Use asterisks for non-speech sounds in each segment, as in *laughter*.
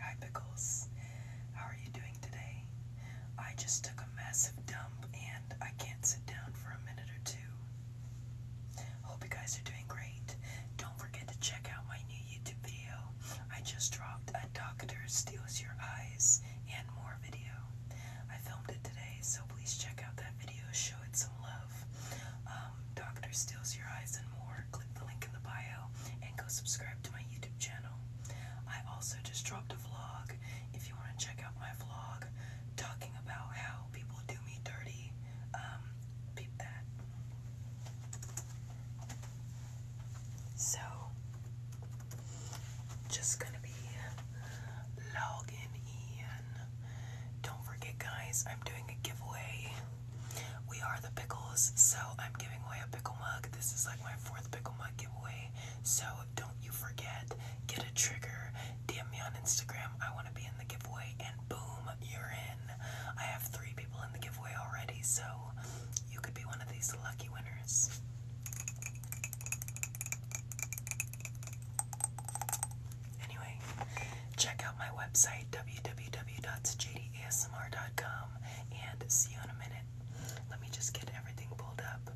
Hi, Pickles. How are you doing today? I just took a massive dump and I can't sit down for a minute or two. Hope you guys are doing great. Don't forget to check out my new YouTube video. I just dropped A Doctor Steals Your Eyes and more video. I filmed it today, so please check out that video. Show it some love. Um, Dr. Steals Your Eyes and more, click the link in the bio and go subscribe to my YouTube channel. I also just dropped a vlog if you want to check out my vlog talking about how people do me dirty. Um, peep that. So, just gonna be logging in. Don't forget, guys, I'm doing a giveaway. We are the pickles, so I'm giving away a pickle mug. This is like my fourth pickle mug giveaway, so don't you forget. Get a trigger, DM me on Instagram. I want to be in the giveaway, and boom, you're in. I have three people in the giveaway already, so you could be one of these lucky winners. Anyway, check out my website www.jdasmr.com and see you in a minute. Let me just get everything pulled up.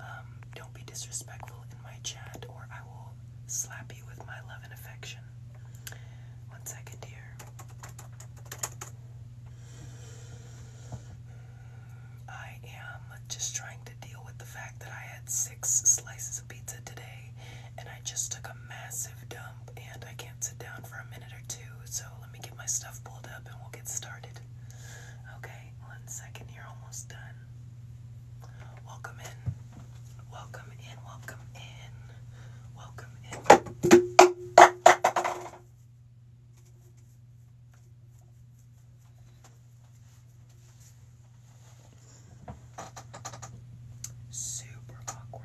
Um, don't be disrespectful in my chat, or I will slap you with my love and affection. One second here. I am just trying to deal with the fact that I had six slices of pizza today and I just took a massive dump. Um, and I can't sit down for a minute or two, so let me get my stuff pulled up and we'll get started. Okay, one second, you're almost done. Welcome in, welcome in, welcome in, welcome in. Sue super awkward.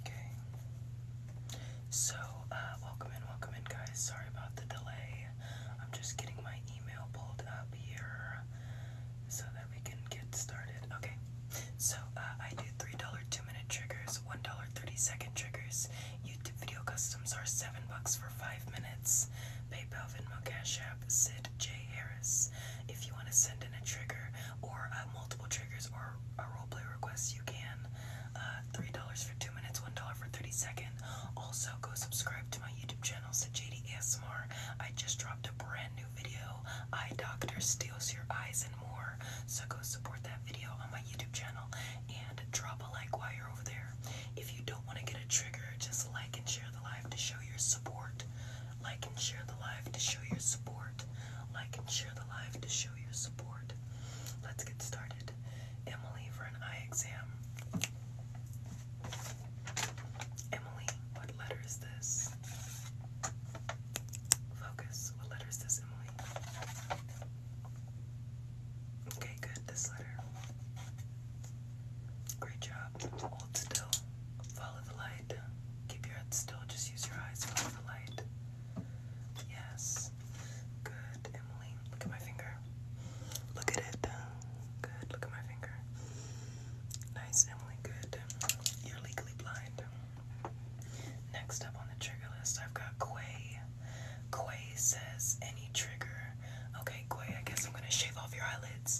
Okay. So, uh, welcome in, welcome in, guys. Sorry about the delay. I'm just getting my email pulled up here so that we can get started. Okay. So, uh, I do $3 two minute triggers, one dollar thirty second triggers. YouTube video customs are seven bucks for five minutes. PayPal, Venmo, Cash App, Sid J Harris. If you want to send in a trigger or uh, multiple triggers or a roleplay request, you can. Uh, three dollars for two minutes, one dollar for thirty seconds. Also, go subscribe to my YouTube channel, Sid JD ASMR. I just dropped a brand new video. Eye Doctor steals your eyes and more. So go support that video on my YouTube channel and drop a like while you're over there. If you don't want to get a trigger, just like and share the live to show your support. Like and share the live to show your support. Like and share the live to show your support. Let's get started. Emily for an eye exam. Emily, what letter is this? Focus. What letter is this, Emily? Okay, good. This letter. Great job. Hold still. Follow the light. Keep your head still. Just use your eyes. Follow the light. Yes. Good, Emily. Look at my finger. Look at it. Good. Look at my finger. Nice, Emily. Good. You're legally blind. Next up on the trigger list, I've got Quay. Quay says any trigger. Okay, Quay, I guess I'm gonna shave off your eyelids.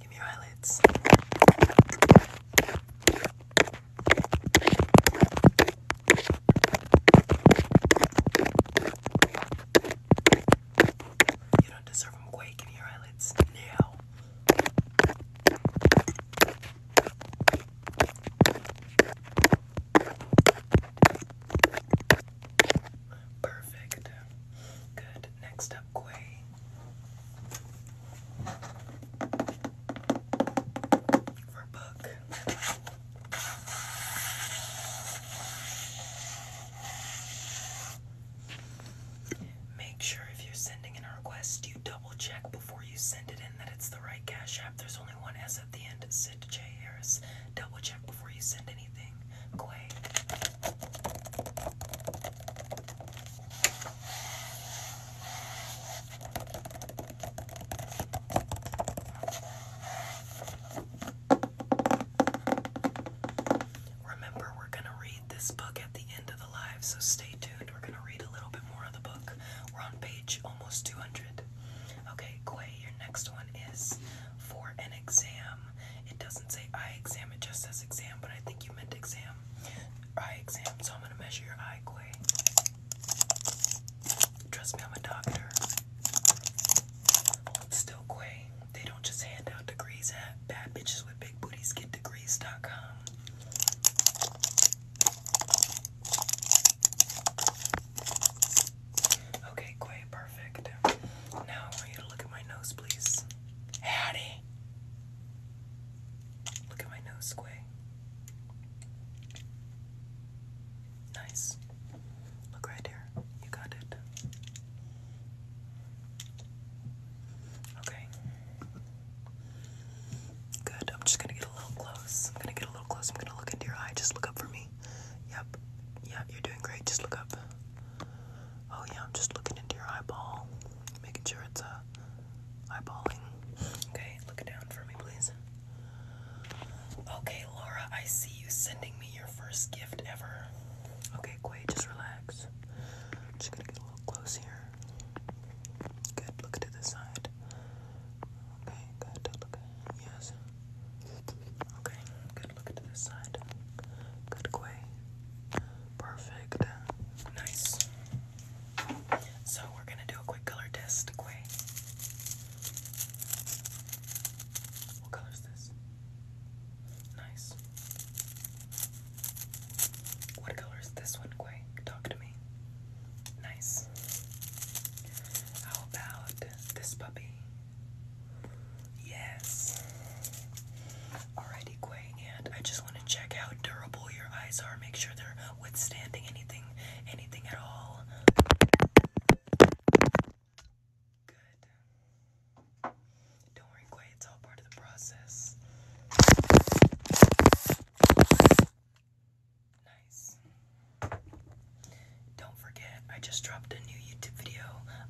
Give me your eyelids. You don't deserve them. Quay, give me your eyelids now. Perfect. Good. Next up, Quay. For book. Make sure if you're sending in a request, double check before you send it in that it's the right Cash App? There's only one S at the end. Sid J. Harris. Double check before you send anything. Quay. Remember, we're going to read this book at the end of so stay tuned. We're gonna read a little bit more of the book. We're on page almost 200. Okay, Quay, your next one is for an exam. It doesn't say eye exam, it just says exam, but I think you meant exam. Eye exam, so I'm gonna measure your eye, Quay. Trust me, I'm a doctor. still, Quay. They don't just hand out degrees at bad bitches with big booties get 58 Okay, Quay, perfect. Now I want you to look at my nose, please. Hattie! Look at my nose, Quay. Nice. Look right here. You got it. Okay. Good. I'm just gonna get a little close. I'm gonna get a little close. I'm gonna look into your eye. Just look up for me. Yep. Yeah. You're doing great. Just look up. Oh yeah. I'm just looking into your eyeball, making sure it's uh, eyeballing. Okay. Look down for me, please. Okay, Laura. I see you sending me your first gift ever. Okay, Quay. Just relax. I'm just gonna get a little close here. Good, look to the side. Okay, good, Yes. Okay, good, look to the side. Good, quay. Perfect. Nice. So we're gonna do a quick color test, quay. What color is this? Nice. What color is this one, Quay? Talk to me. Nice. How about this puppy? Yes. Alrighty, Quay, and I just want to check how durable your eyes are. Make sure they're withstanding anything, anything at all. Good. Don't worry, Quay, it's all part of the process. Nice. Don't forget, I just dropped a new YouTube video,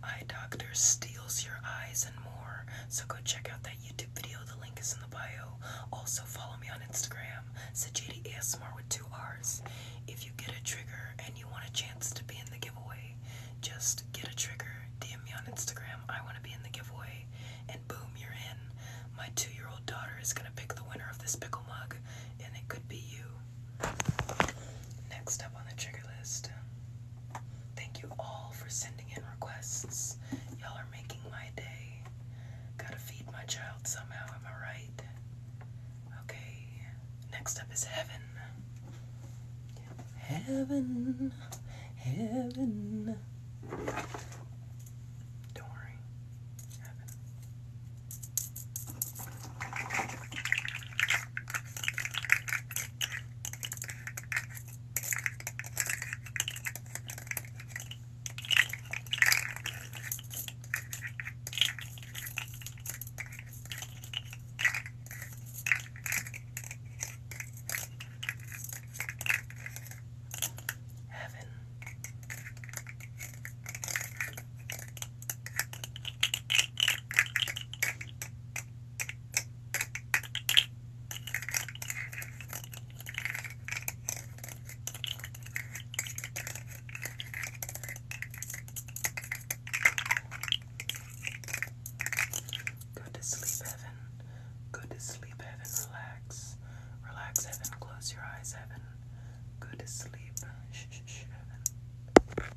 Eye Doctor Steals Your Eyes and More. So go check out that YouTube video, the link is in the bio. Also follow me on Instagram, Sajidi ASMR with two R's. If you get a trigger and you want a chance to be in the giveaway, just get a trigger, DM me on Instagram, I want to be in the giveaway, boom, you're in. My two year old daughter is going to pick the winner of this pickle mug, and it could be you. Next up on the trigger list. Thank you all for sending in requests. Y'all are making my day. Gotta feed my child somehow, am I right? Okay, next up is heaven. Heaven, heaven. Don't worry. Heaven. Heaven. Go to sleep, heaven. Go to sleep, heaven. Relax relax. Relax, Evan. Close your eyes, Evan. Good to sleep. Shh, shh, shh, Evan.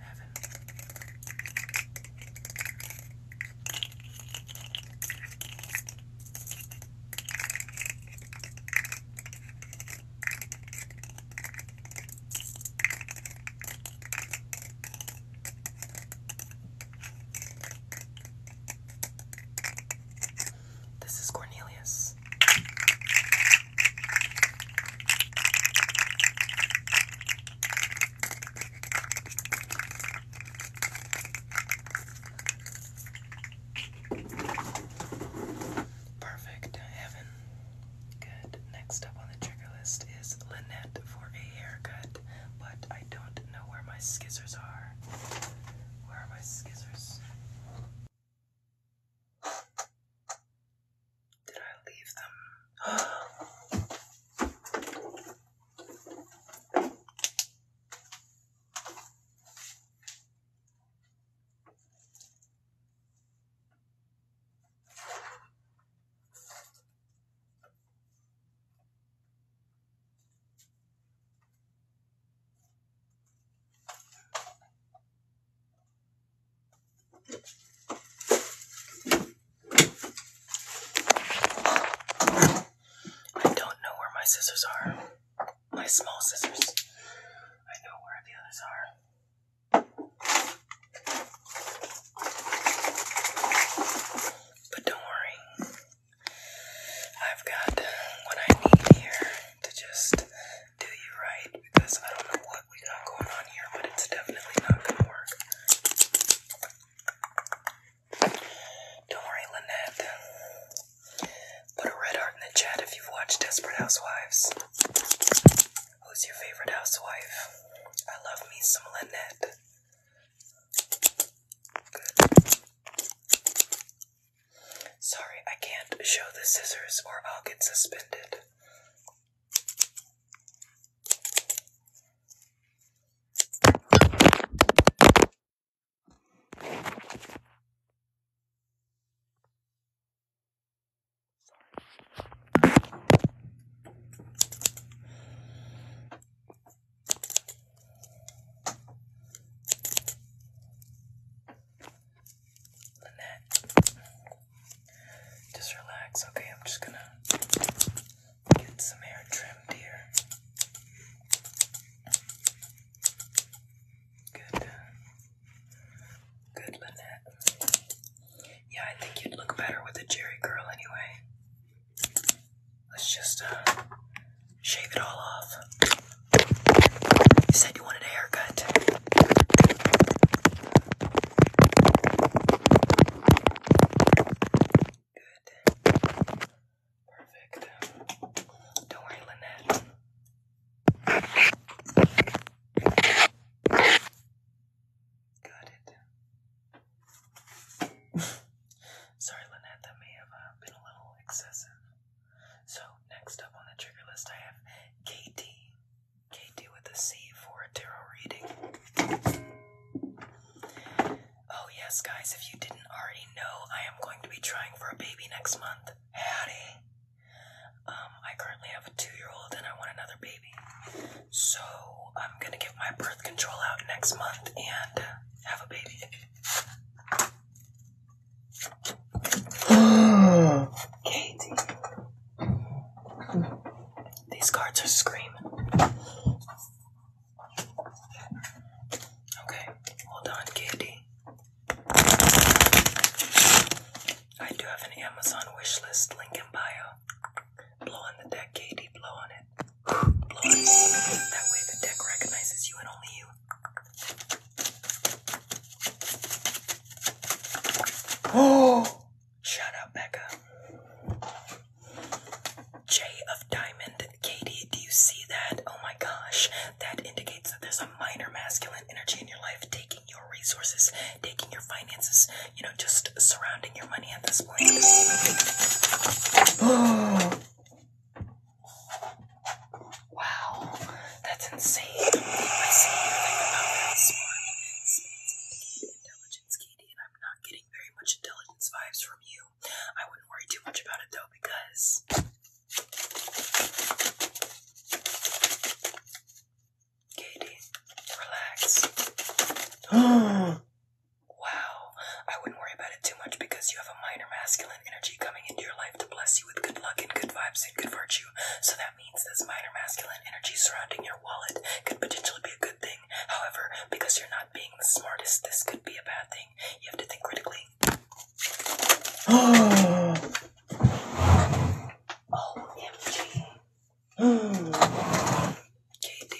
Evan. This is Cornelius. Perfect, heaven. Good. Next up on the trigger list is Lynette for a haircut but I don't know where my scissors are. Where are my scissors? Did I leave them? I don't know where my scissors are. My small scissors. I know where the others are. But don't worry, I've got what I need here to just do you right because I don't know what we got going on here, but it's definitely not gonna work. Don't worry, Lynette. Put a red heart in the chat if you've watched Desperate Housewives. Who's your favorite housewife? I love me some Lynette. Sorry, I can't show the scissors or I'll get suspended. Just relax, okay? I'm just gonna get some hair trimmed here. Good. Uh, good, Lynette. Yeah, I think you'd look better with a jerry curl anyway. Let's just uh, shave it all off. You said you wanted a haircut. Good. Perfect. Don't worry, Lynette. Got it. *laughs* Sorry, Lynette, that may have uh, been a little excessive. So, next up on the trigger list, I have KT. KT with a C for a tarot reading. Oh, yes, guys, if you didn't already know, I am going to be trying for a baby next month. Hattie. Um, I currently have a two year old and I want another baby. So I'm gonna get my birth control out next month and uh, have a baby. *gasps* Katie. These cards are screaming. Okay, hold on, Katie. I do have an Amazon wish list link in bio. Blow on the deck, Katie. Blow on it. That way the deck recognizes you and only you. Oh! *gasps* Shut up, Becca. J of Diamond. Katie, do you see that? Oh my gosh. That indicates that there's a minor masculine energy in your life taking your resources, taking your finances, you know, just surrounding your money at this point. *gasps* wow, that's insane. I oh, I'm not getting very much intelligence vibes from you. I wouldn't worry too much about it though because. Katie, relax. *gasps* Wow. I wouldn't worry about it too much because you have a minor masculine energy coming into your life to bless you with good luck and good vibes and good virtue. So that means this minor masculine energy surrounding your wallet could potentially be a good thing. However, because you're not being the smartest, this could be a bad thing. You have to think critically. *gasps* OMG. Oh, *gasps* *gasps* JD.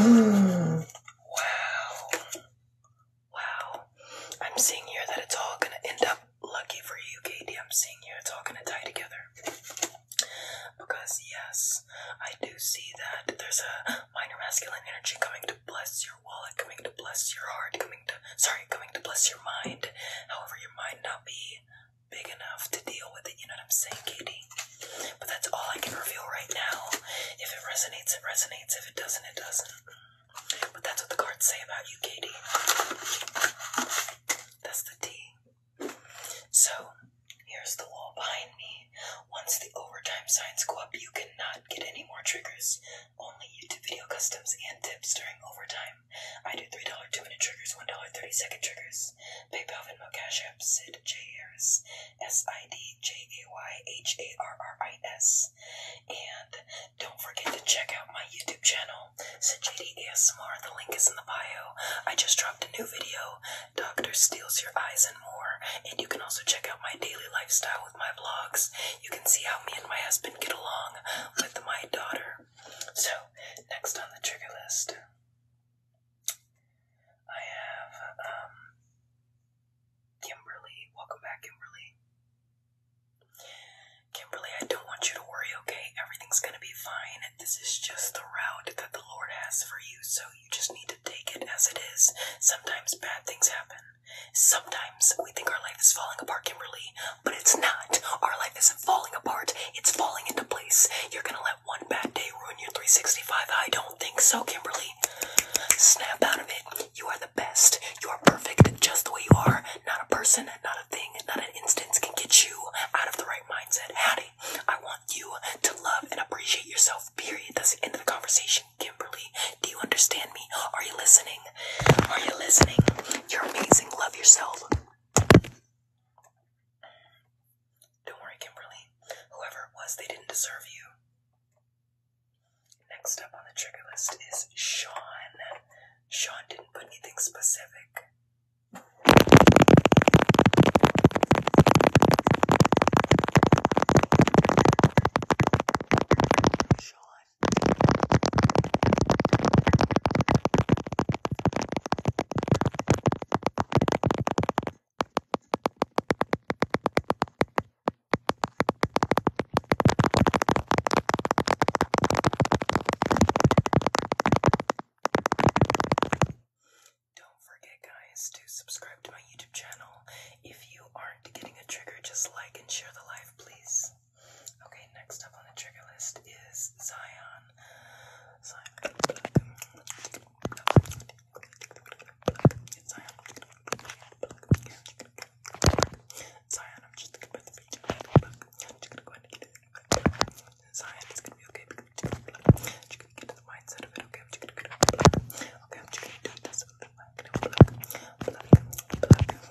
wow. Wow. I'm seeing here that it's all gonna end up lucky for you, Katie. I'm seeing here it's all gonna tie together. Because yes, I do see that there's a minor masculine energy coming to bless your wallet, coming to bless your heart, coming to sorry, coming to bless your mind. However, your mind not be big enough to deal with it, you know what I'm saying, Katie? But that's all I can reveal right now. If it resonates, it resonates. If it doesn't, it doesn't. But that's what the cards say about you, Katie. That's the T. So, here's the wall behind me. Once the overtime signs go up, you cannot get any more triggers. Only YouTube video customs and tips during overtime. I do $3 two minute triggers, $1 30 second triggers. PayPal, Venmo, Cash App, Sid J. Harris, S I D J A Y H A R R I S. And don't forget to check out my YouTube channel, Sajadi ASMR. The link is in the bio. I just dropped a new video, Doctor Steals Your Eyes and More. And you can also check out my daily lifestyle with my vlogs. You can see how me and my husband get along with my daughter. So, next on the trigger list. I have um, Kimberly, welcome back, Kimberly. Kimberly, I don't want you to worry, okay? Everything's gonna be fine. This is just the route that the Lord has for you, so you just need to take it as it is. Sometimes bad things happen. Sometimes we think our life is falling apart, Kimberly, but it's not. Our life isn't falling apart, it's falling into place. You're gonna let one bad day ruin your 365? I don't think so, Kimberly. Snap out of it. You are the best. You are perfect just the way you are. Not a person, not a thing, not an instance can get you out of the right mindset. Howdy. I want you to love and appreciate yourself, period. That's the end of the conversation, Kimberly. Do you understand me? Are you listening? Are you listening? You're amazing. Love yourself. Don't worry, Kimberly. Whoever it was, they didn't deserve you. Next up on the trigger list is Sean. Sean didn't put anything specific. Sean. Don't forget, guys, to subscribe to my YouTube channel. If you aren't getting a trigger, just like and share the live, please. Okay, next up on the trigger list is Zion. Zion, I'm just thinking about the beach. I'm just gonna go ahead and get it. Zion, it's gonna be okay. I'm just gonna get to the mindset of it. Okay, I'm just gonna get it. Okay, I'm just gonna do this with the black, black, black, black, black, black.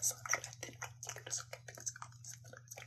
So I did. It's okay because I'm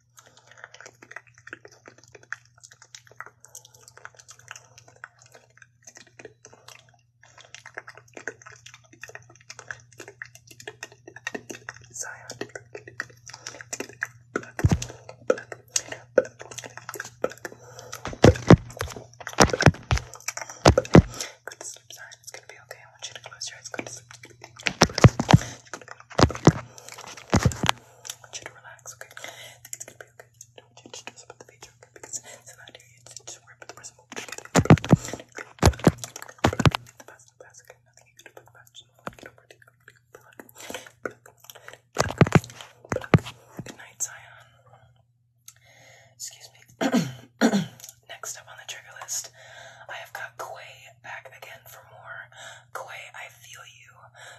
Zion. Good to sleep, Zion. It's gonna be okay. I want you to close your eyes. Good to sleep. I want you to relax, okay? think it's gonna be okay. Don't you about the feature, okay? Because it's not here, just worried about the person Good night, Zion. Excuse me. *coughs* Next up on the trigger list, I have got Quay back again for more. Koi, I feel you.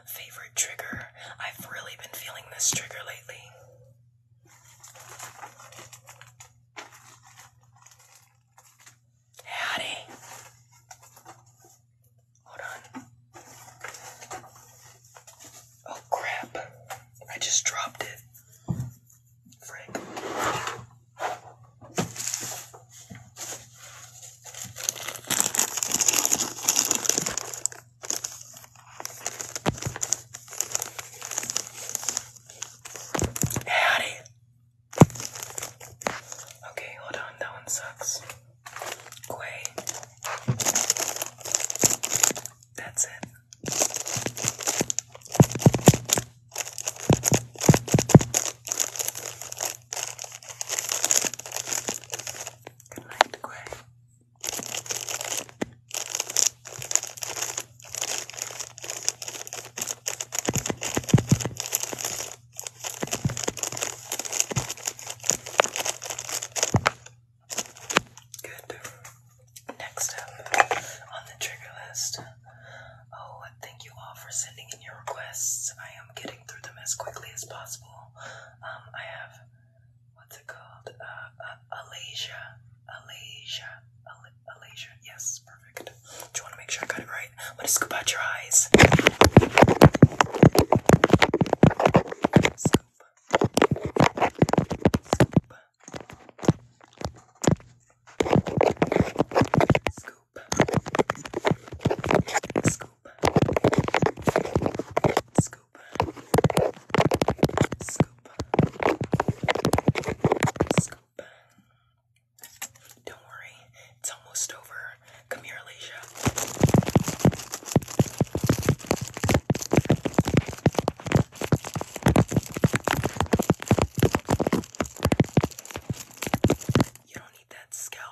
Favorite trigger. I've really been feeling this trigger lately. Howdy. Hold on. Oh crap. I just dropped it. Frick. Howdy. Okay, hold on, that one sucks. Quay. That's it. Good Next up on the trigger list. Oh, thank you all for sending in your requests. I am getting through them as quickly as possible. Um, I have what's it called? Uh, uh Alasia, Alasia, Yes, perfect. Do you want to make sure I got it right? I'm gonna scoop out your eyes. Scoop. Scoop. Scoop. Scoop. Don't worry, it's almost over. Come here, Alicia. You don't need that scalp.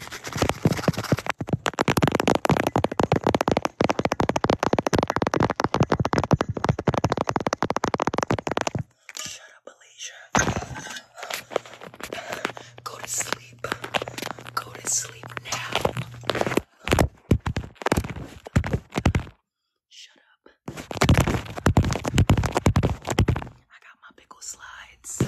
Shut up, Alicia. Go to sleep. Go to sleep now. Shut up. I got my pickle slides.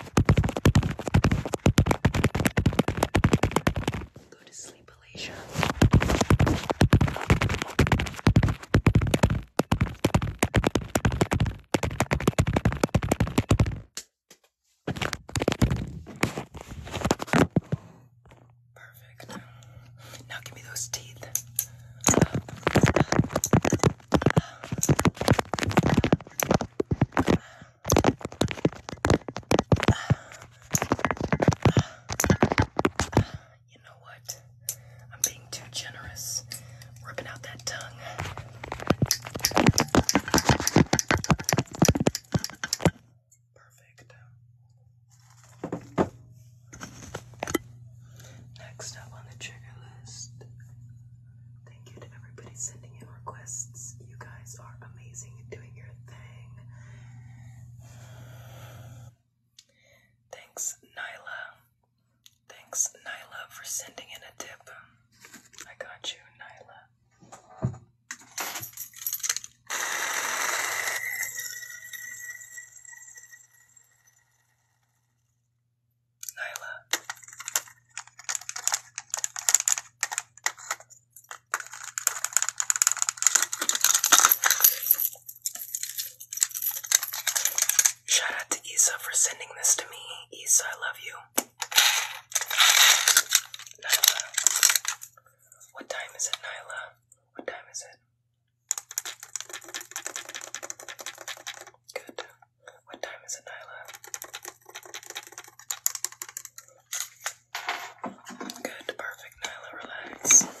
Go to sleep, Alicia. Perfect. Now give me those teeth. You know what? I'm being too generous. Ripping out that tongue. Perfect. Next up on the trigger list Thank you to everybody sending in requests. You guys are amazing doing your thing. Thanks, Nyla. Thanks, Nyla, for sending in a tip. I got you, Nyla. Nyla. Shout out to Isa for sending this to me. Isa, I love you. Nyla. What time is it, Nyla? What time is it? Good. What time is it, Nyla? Good, perfect, Nyla, relax.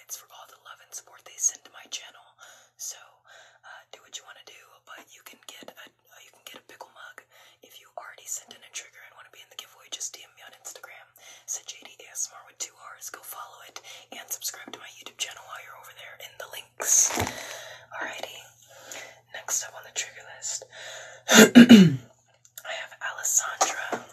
for all the love and support they send to my channel. So uh, do what you want to do, but you can get a uh, you can get a pickle mug if you already sent in a trigger and want to be in the giveaway. Just DM me on Instagram. Said JD ASMR with two R's. Go follow it and subscribe to my YouTube channel while you're over there in the links. Alrighty. Next up on the trigger list, *clears throat* I have Alessandra.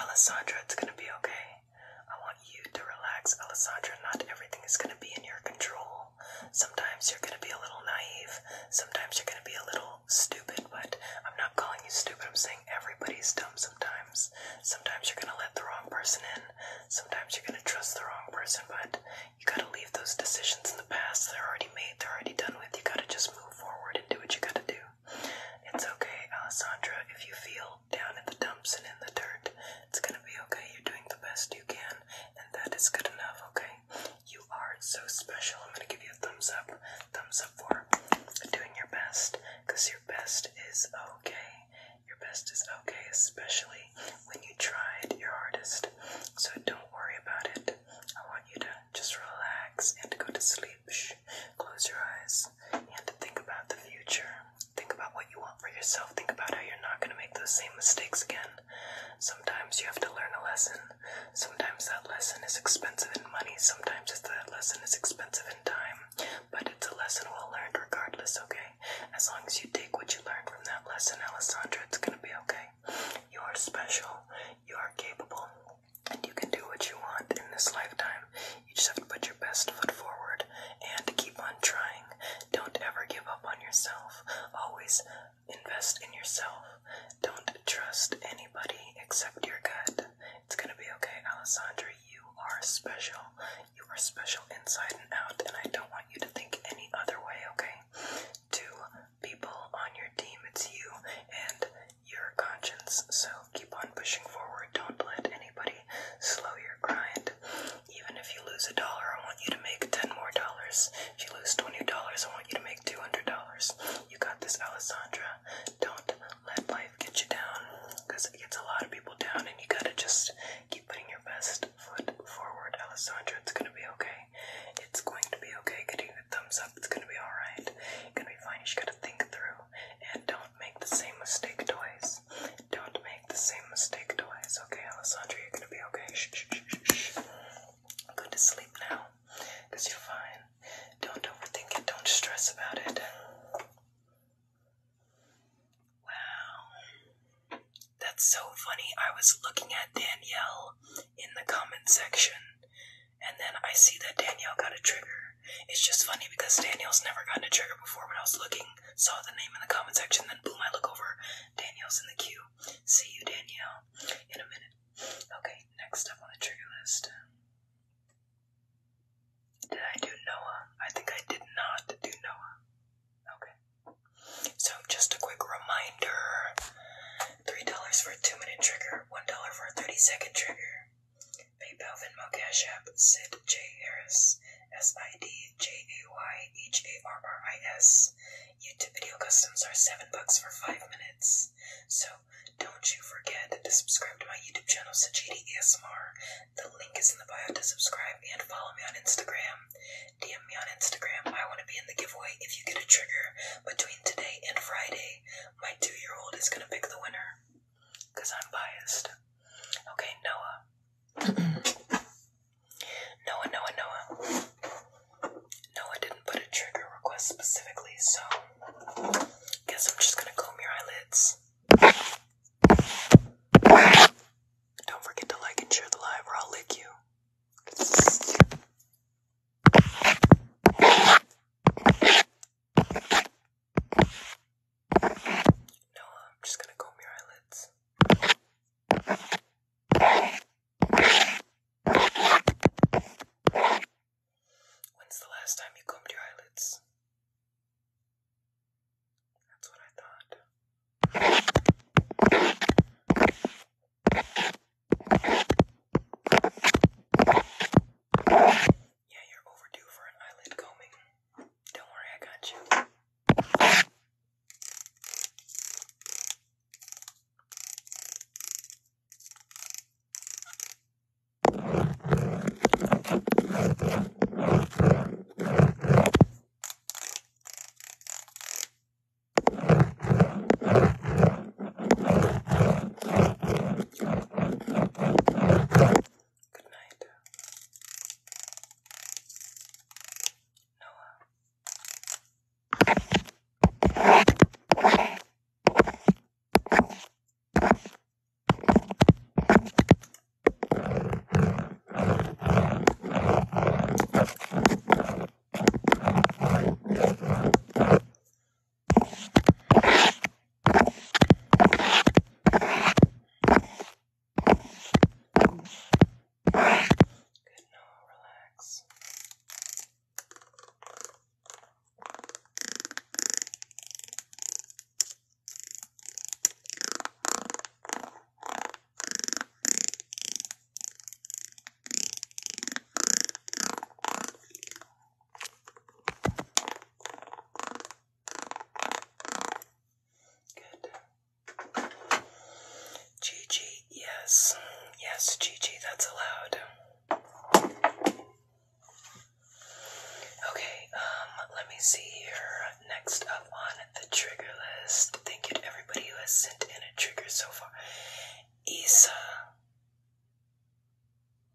Alessandra, it's gonna be okay. I want you to relax, Alessandra. Not everything is going to be in your control. Sometimes you're going to be a little naive, sometimes you're going to be a little stupid, but I'm not calling you stupid. I'm saying everybody's dumb sometimes. Sometimes you're going to let the wrong person in, sometimes you're going to trust the wrong person, but you got to leave those decisions in the past. They're already made, they're already done with. You got to just move forward and do what you got to do. It's okay, Alessandra, if you feel down in the dumps and in the dirt. It's gonna be okay. You're doing the best you can, and that is good enough, okay? You are so special. I'm gonna give you a thumbs up. Thumbs up for doing your best, because your best is okay. Your best is okay, especially when you tried your hardest. So don't worry about it. I want you to just relax and go to sleep. Shh. Close your eyes goals. You have to think about the future. Think about what you want for yourself. Think about how you're not going to make those same mistakes again. Sometimes you have to learn a lesson. Sometimes that lesson is expensive in money. Sometimes that lesson is expensive in time. But it's a lesson well learned regardless, okay? As long as you take what you learned from that lesson, Alessandra, it's going to be okay. You are special. You are capable. And you can do what you want in this lifetime. You just have to put your best foot forward and keep on trying. Don't ever give up on yourself. Always invest in yourself. Don't trust anybody except your gut. It's gonna be okay, Alessandra. You are special. You are special inside and out, and I don't want you to think any other way, okay? Two people on your team, it's you and your conscience. So Keep on pushing forward. Don't let anybody slow your grind. Even if you lose a dollar, I want you to make ten more dollars. If you lose twenty dollars, I want you to make two hundred dollars. You got this, Alessandra. Don't let life get you down, because it gets a lot of people down, and you gotta just keep putting your best foot forward, Alessandra. It's gonna be okay. It's going to be okay. Getting a thumbs up. It's gonna be all You're gonna be fine. You just gotta think through and don't make the same mistake twice. Don't make the same mistake twice. Okay, Alessandra, you're gonna be okay. Shh, shh, shh, Go to sleep now, because you're fine. Don't overthink it, don't stress about it. Wow. That's so funny. I was looking at Danielle in the comment section, and then I see that Danielle got a trigger. It's just funny because Daniel's never gotten a trigger before when I was looking, saw the name in the comment section, then boom, I look over. Daniel's in the queue. See you, Danielle, in a minute. Okay, next up on the trigger list. Did I do Noah? I think I did not do Noah. Okay. So, just a quick reminder $3 for a 2 minute trigger, $1 for a 30 second trigger. My Belvin Cash App, Sid J. Harris, S I D J A Y H A R R I S. YouTube video customs are seven bucks for five minutes. So don't you forget to subscribe to my YouTube channel, Sajidi ASMR. The link is in the bio to subscribe and follow me on Instagram. DM me on Instagram. I want to be in the giveaway if you get a trigger between today and Friday. My two year old is going to pick the winner because I'm biased. Okay, Noah. *clears throat* Noah, Noah, Noah. Noah didn't put a trigger request specifically, so guess I'm just gonna comb your eyelids. Don't forget to like and share the live, or I'll lick you. Now I'm just gonna comb your eyelids. When's the last time you combed your eyelids? That's what I thought. Yeah, you're overdue for an eyelid combing. Don't worry, I got you. Good night. Noah. Good now, relax. Good. Good. Gigi, yes. Yes, Gigi, that's allowed. Okay, um, let me see here. Next up on the trigger list. Thank you everybody who has sent in a trigger so far. Isa.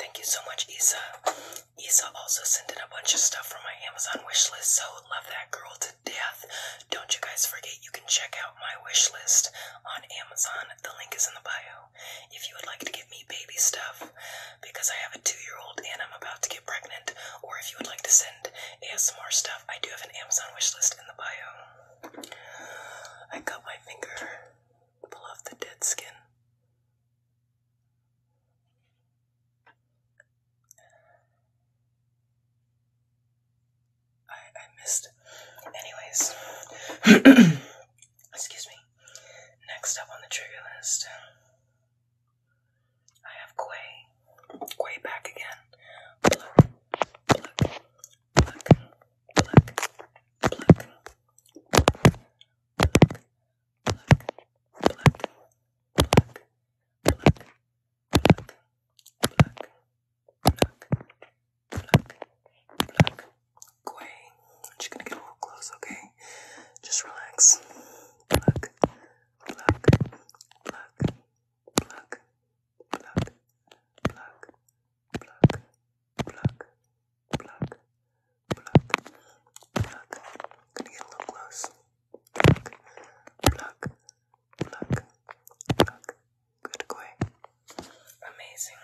Thank you so much, Isa. Isa also sent in a bunch of stuff from my Amazon wish list, so love that girl to death. Don't you guys forget you can check out my wish list on Amazon. The link is in the bio. If you would like to give me baby stuff, because I have a two year old and I'm about to get pregnant, or if you would like to send ASMR stuff, I do have an Amazon wish list in the bio. I cut my finger, pull off the dead skin. I, missed. Anyways, *clears throat* excuse me. Next up on the trigger list, I have Quay. Quay back again black, pluck, pluck, pluck, pluck, pluck, pluck, pluck, pluck, pluck, pluck, pluck, pluck. Quay, I'm just gonna get a little close, okay? Just relax. Pluck, pluck, pluck, pluck, pluck, pluck, pluck, pluck, pluck, pluck, pluck. Gonna get a little close. Pluck, pluck, pluck, pluck. Good going. Amazing.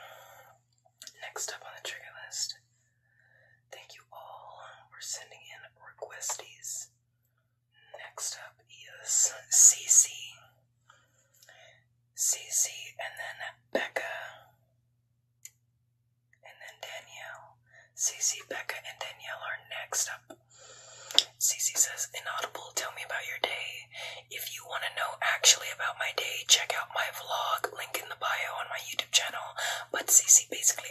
Next up on the trigger list. Thank you all for sending in requesties. Next up is CC. Cece, and then Becca, and then Danielle. Cece, Becca, and Danielle are next up. Cece says, Inaudible, tell me about your day. If you want to know actually about my day, check out my vlog, link in the bio on my YouTube channel. But Cece basically.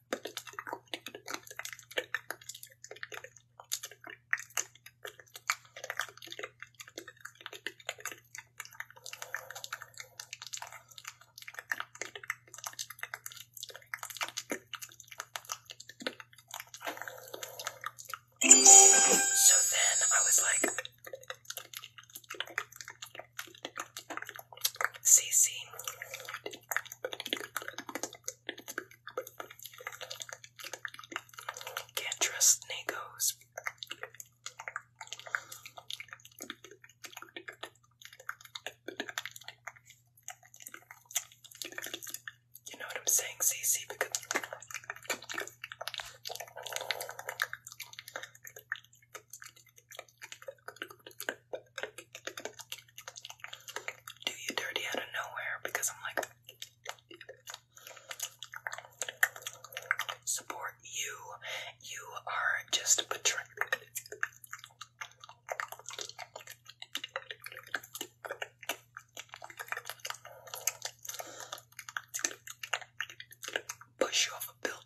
So then I was like, Cece, can't trust Nagos. You know what I'm saying, CC? Because do you dirty out of nowhere because I'm like support you. You are just betraying. Push you off a building.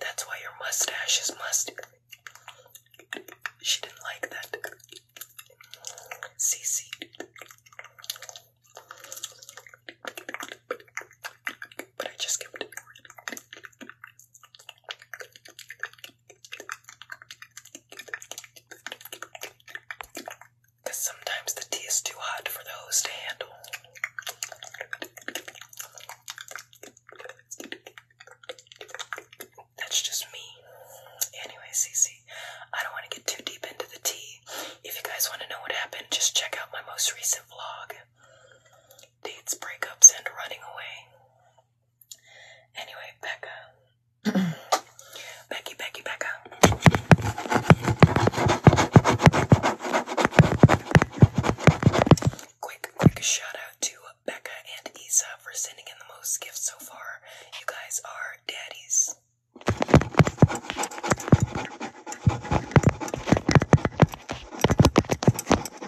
That's why your mustache is musty. She didn't like that. CC. Because sometimes the tea is too hot for the to handle. That's just me. Anyway, Cece, I don't want to get too deep into the tea. If you guys want to know what happened, just check out my most recent vlog dates, breakups, and running away. Anyway, Becca. *clears throat* Becky, Becky, Becca. Quick, quick shout out to Becca and Isa for sending in the most gifts so far. You guys are daddies.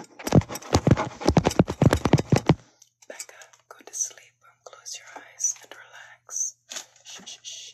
Becca, go to sleep. Um, close your eyes and relax. Shh,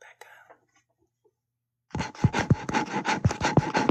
Becca.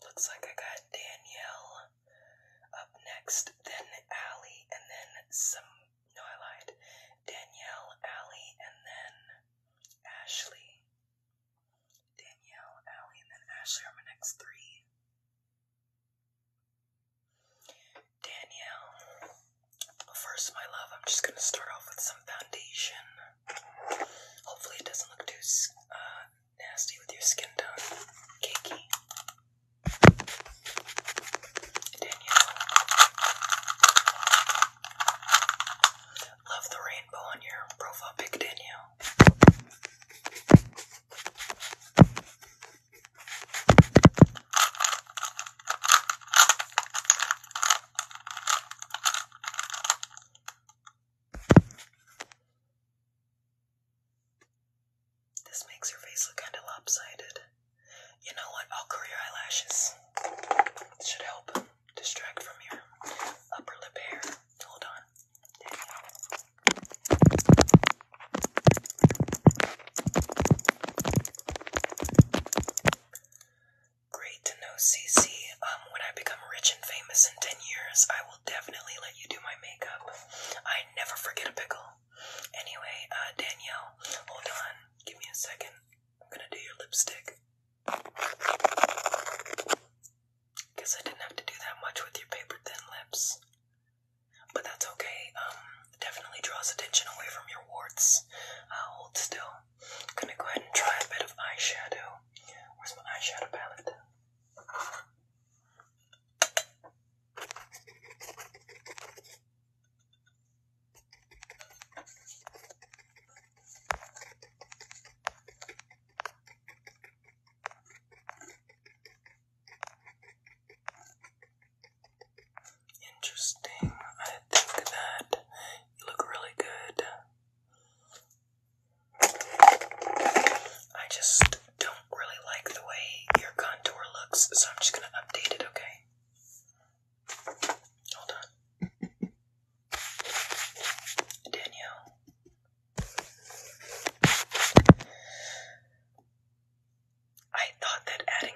Looks like I got Danielle up next, then Allie, and then some. No, I lied. Danielle, Allie, and then Ashley. Danielle, Allie, and then Ashley are my next three. Danielle. First, my love, I'm just going to start off with some foundation. Hopefully, it doesn't look too uh, nasty with your skin tone. Cakey. Danielle. Love the rainbow on your profile pic, Danielle. This makes your face look kind of lopsided. You know what? I'll curl your eyelashes. should help distract from your upper lip hair. Hold on. Great to know, CC. Um, when I become rich and famous in 10 years, I will definitely let you do my makeup. I never forget a pickle. Anyway, uh, Danielle, hold on. Give me a second. I'm gonna do your lipstick. Guess I didn't have to do that much with your paper thin lips. But that's okay. Um, definitely draws attention away from your warts. Uh, hold still. gonna go ahead and try a bit of eyeshadow. Where's my eyeshadow palette? Interesting. I think that you look really good. I just don't really like the way your contour looks, so I'm just gonna update it, okay? Hold on. *laughs* Danielle. I thought that adding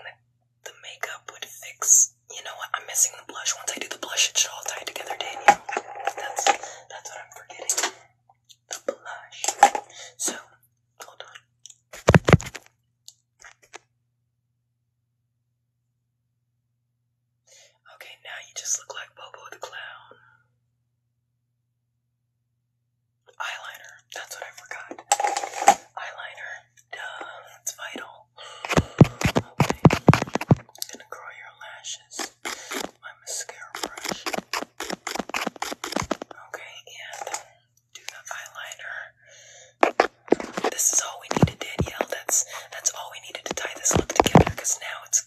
the, makeup would fix. You know what? I'm missing the blush. Once I do the blush, it should all tie together, Daniel. That's that's what I'm forgetting. The blush. So hold on. Okay, now you just look like Bobo the Clown. Eyeliner. That's what I forgot. Eyeliner. Duh, that's vital. Okay. gonna curl your lashes. My mascara brush. Okay, and do the eyeliner. This is all we needed, Danielle. That's that's all we needed to tie this look together. now it's.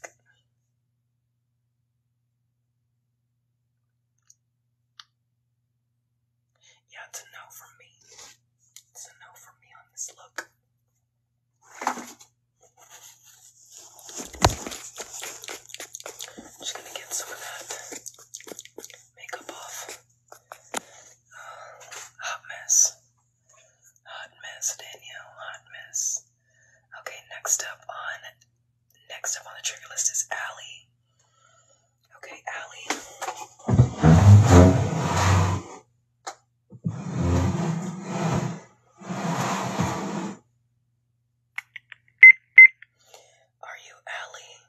Yeah, it's a no from me. It's a no from me on this look. just gonna get some of that makeup off. Uh, hot mess. Hot mess, Danielle. Hot mess. Okay, next up on next up on the trigger list is Allie. Okay, Allie. Are you Allie?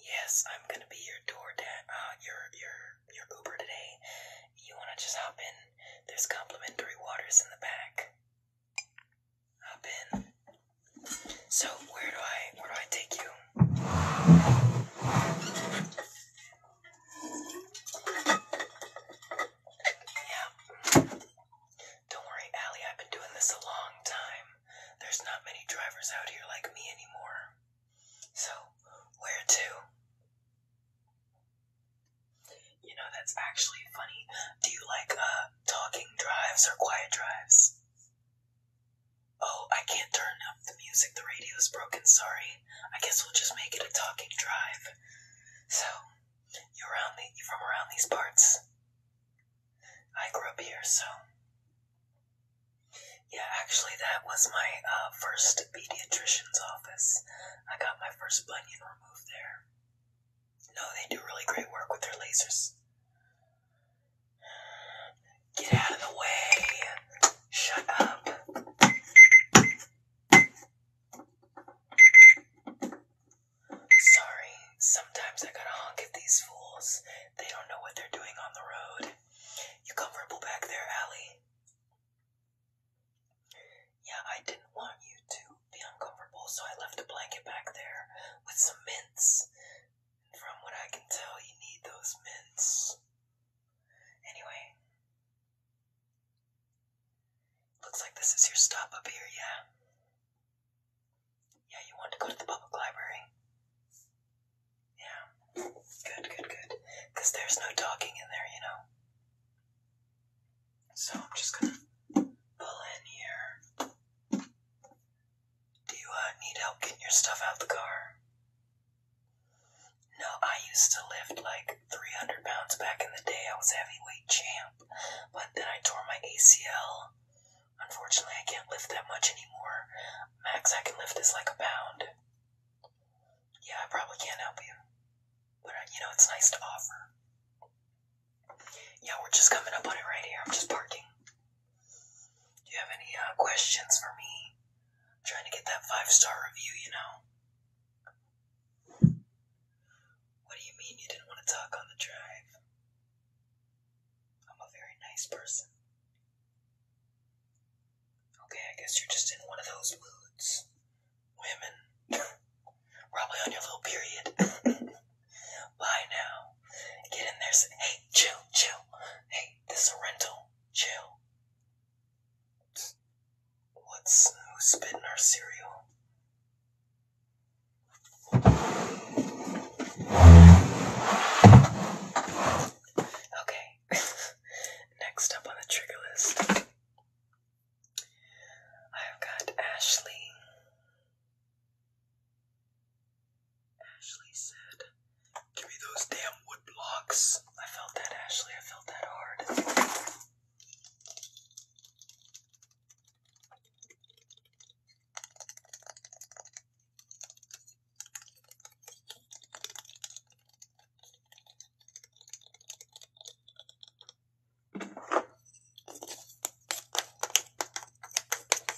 Yes, I'm gonna be your door dad, uh, your your your Uber today. You wanna just hop in? There's complimentary waters in the back. Hop in. So where do I where do I take you? Yeah. Don't worry, Allie, I've been doing this a long time. There's not many drivers out here like me anymore. So, where to? You know, that's actually funny. Do you like uh talking drives or quiet drives? Oh, I can't turn up the music. The radio's broken. Sorry. I guess we'll just make it a talking drive. So, you are from around these parts? I grew up here, so. Yeah, actually, that was my uh, first pediatrician's office. I got my first bunion removed there. No, they do really great work with their lasers. Get out of the way. Shut up. Sorry, sometimes I gotta honk at these fools. They don't know what they're doing on the road. You comfortable back there, Allie? Yeah, I didn't want you to be uncomfortable, so I left a blanket back there with some mints. From what I can tell, you need those mints. Anyway, looks like this is your stop up here, yeah? Yeah, you want to go to the public library? Yeah. Good, good, good. Because there's no talking in there, you know? So I'm just gonna pull in here. Do you uh, need help getting your stuff out the car? No, I used to lift like 300 pounds back in the day. I was heavyweight champ, but then I tore my ACL. Unfortunately, I can't lift that much anymore. Max I can lift is like a pound. Yeah, I probably can't help you. But, uh, you know, it's nice to offer. Yeah, we're just coming up on it right here. I'm just parking. Do you have any uh, questions for me? trying to get that five star review, you know. What do you mean you didn't want to talk on the drive? I'm a very nice person. Okay, I guess you're just in one of those moods. Women. *laughs* Probably on your little period. *laughs* Bye now. Get in there. hey, chill, chill. Hey, this is a rental. Chill. What's who's spitting our cereal? Okay. *laughs* Next up on the trigger list, I've got Ashley. Ashley said, Give me those damn wood blocks. I felt that, Ashley. I felt that hard.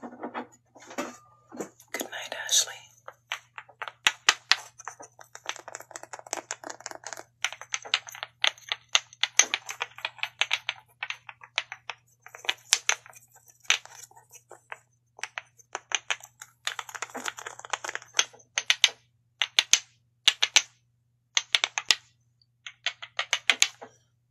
Good night, Ashley.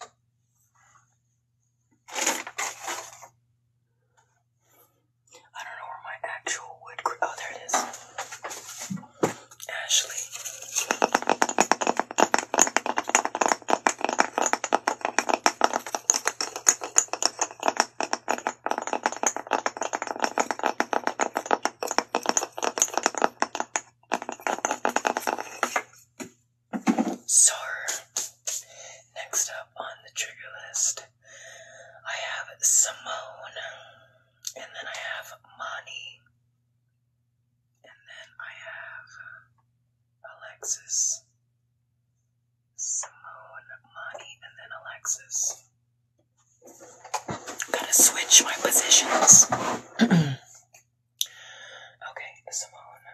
I don't know where my actual wood. Oh, there it is. Ashley. Sorry. Next up on the trigger list, I have Simone, and then I have Money, and then I have Alexis. Simone, Mani, and then Alexis. Gotta switch my positions. *clears throat* Okay, Simone.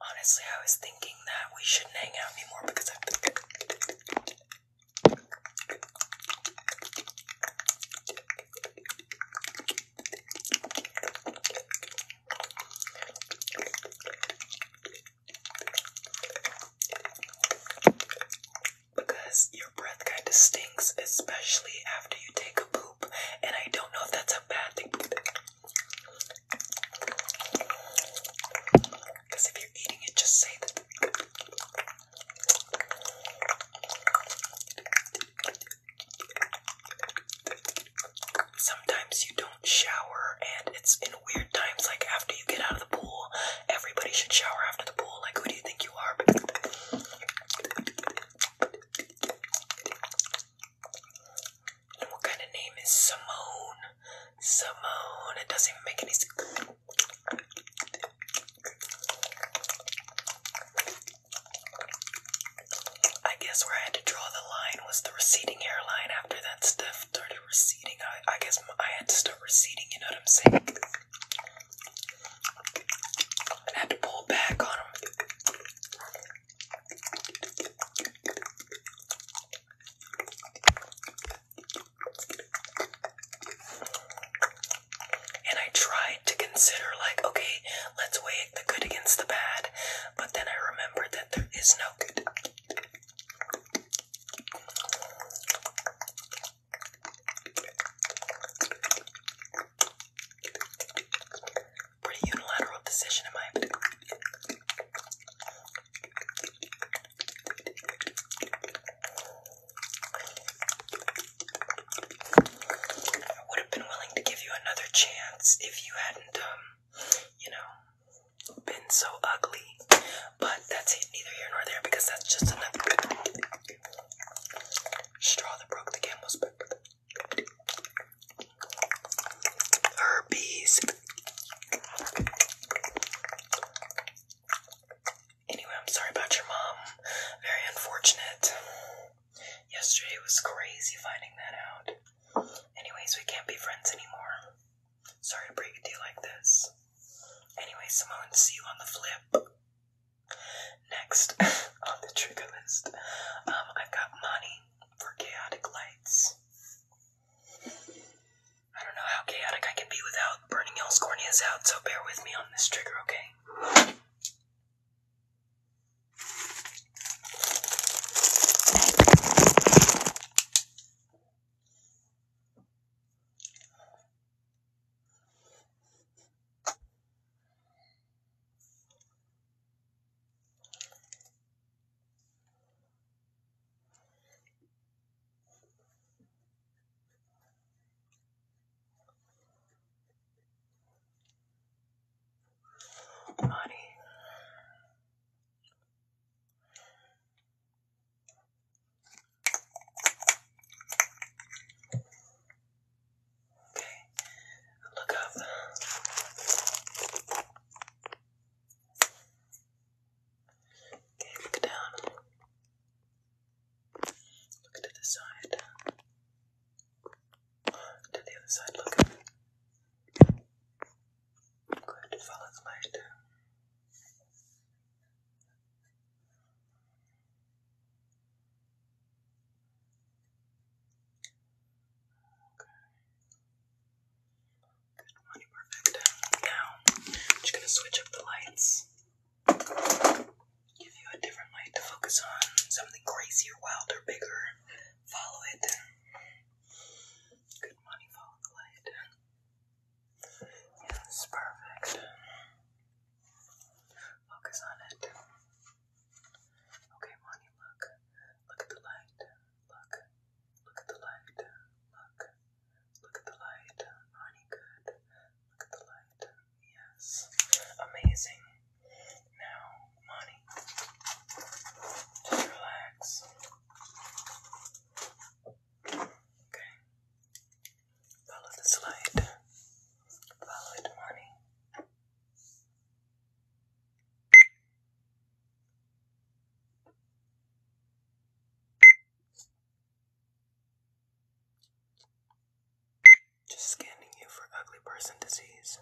Honestly, I was thinking that we shouldn't hang out anymore because I've Because you're breath kind of stinks, especially after you take a poop. And I don't know if that's a bad thing. Because if you're eating it, just say that. Sometimes you don't shower, and it's in weird times, like after you get out of the pool. Everybody should shower after the pool. Like, who do you think you are? what kind of name is Simone? Simone. It doesn't make any sense. I guess where I had to draw the line was the receding hairline. After that stuff started receding, I, I guess I had to start receding. You know what I'm saying? I had to pull back on him. And I tried to consider, like, okay, let's weigh the good against the bad, but then I remembered that there is no good. Pretty unilateral decision, am I? I would have been willing to give you another chance if you hadn't, um, you know, been so ugly. But that's it, neither here nor there, because that's just another straw that broke the camel's back. Herpes. Anyway, I'm sorry about your mom. Very unfortunate. Yesterday was crazy finding that out. Anyways, we can't be friends anymore. Sorry to break a deal like this. Anyway, Simone, see you on the flip. Next *laughs* on the trigger list, um, i got money for chaotic lights. I don't know how chaotic I can be without burning y'all's out, so bear with me on this trigger, okay? Money. Okay, look up. Okay, look down. Look to the side. To the other side, look. Good, follow the light. Good one, perfect. Now, I'm just gonna switch up the lights. Give you a different light to focus on. Something crazier, wilder, bigger. Follow it. Good money, follow the light. Yes, perfect. Focus on it. Okay, Monty, look. Look at the light. Look. Look at the light. Look. Look at the light. Monty, good. Look at the light. Yes. Amazing. Now, Monty, just relax. Okay. Follow this light. Follow it, Monty. Just scanning you for ugly person disease.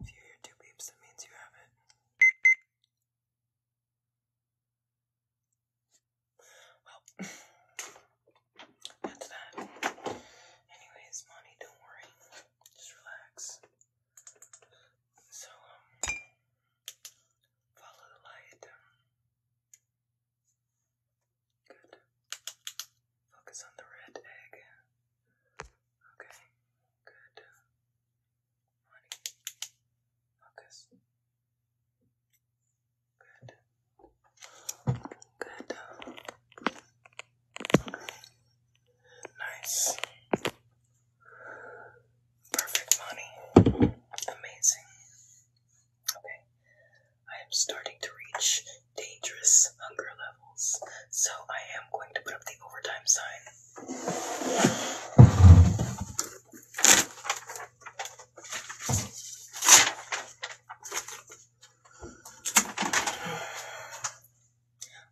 If two beeps, that means you have it. That's that. Anyways, Monty, don't worry. Just relax. So, um, follow the light. Good. Focus on the red egg. Okay. Good. Money. Focus. Good. Good. Nice. Perfect, Monty. Amazing. Okay. I am starting to reach dangerous hunger levels, so I am going to put up the overtime sign.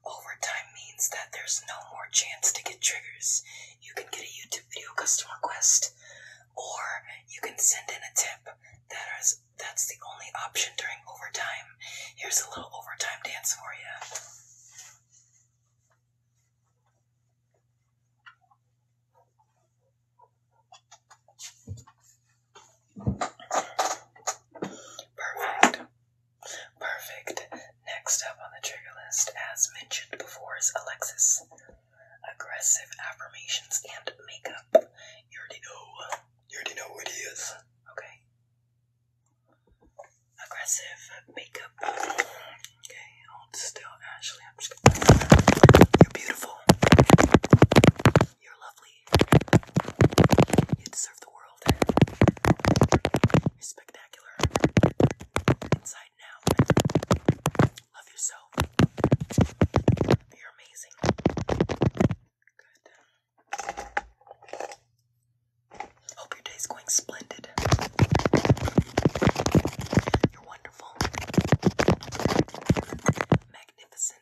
Overtime means that there's no more chance to get triggers. You can get a YouTube video custom request, or you can send in a tip. That is, that's the only option during overtime. Here's a little overtime dance for you. Perfect. Perfect. Next up on the trigger list, as mentioned before, is Alexis. Aggressive affirmations and makeup. You already know. You already know he is. Okay. Aggressive makeup. Okay, hold still, Ashley. I'm just gonna. You're beautiful. You're lovely. You deserve the world. You're spectacular. Inside now. Love yourself. You're amazing. Good. Hope your day's going splendid. You're wonderful. Magnificent.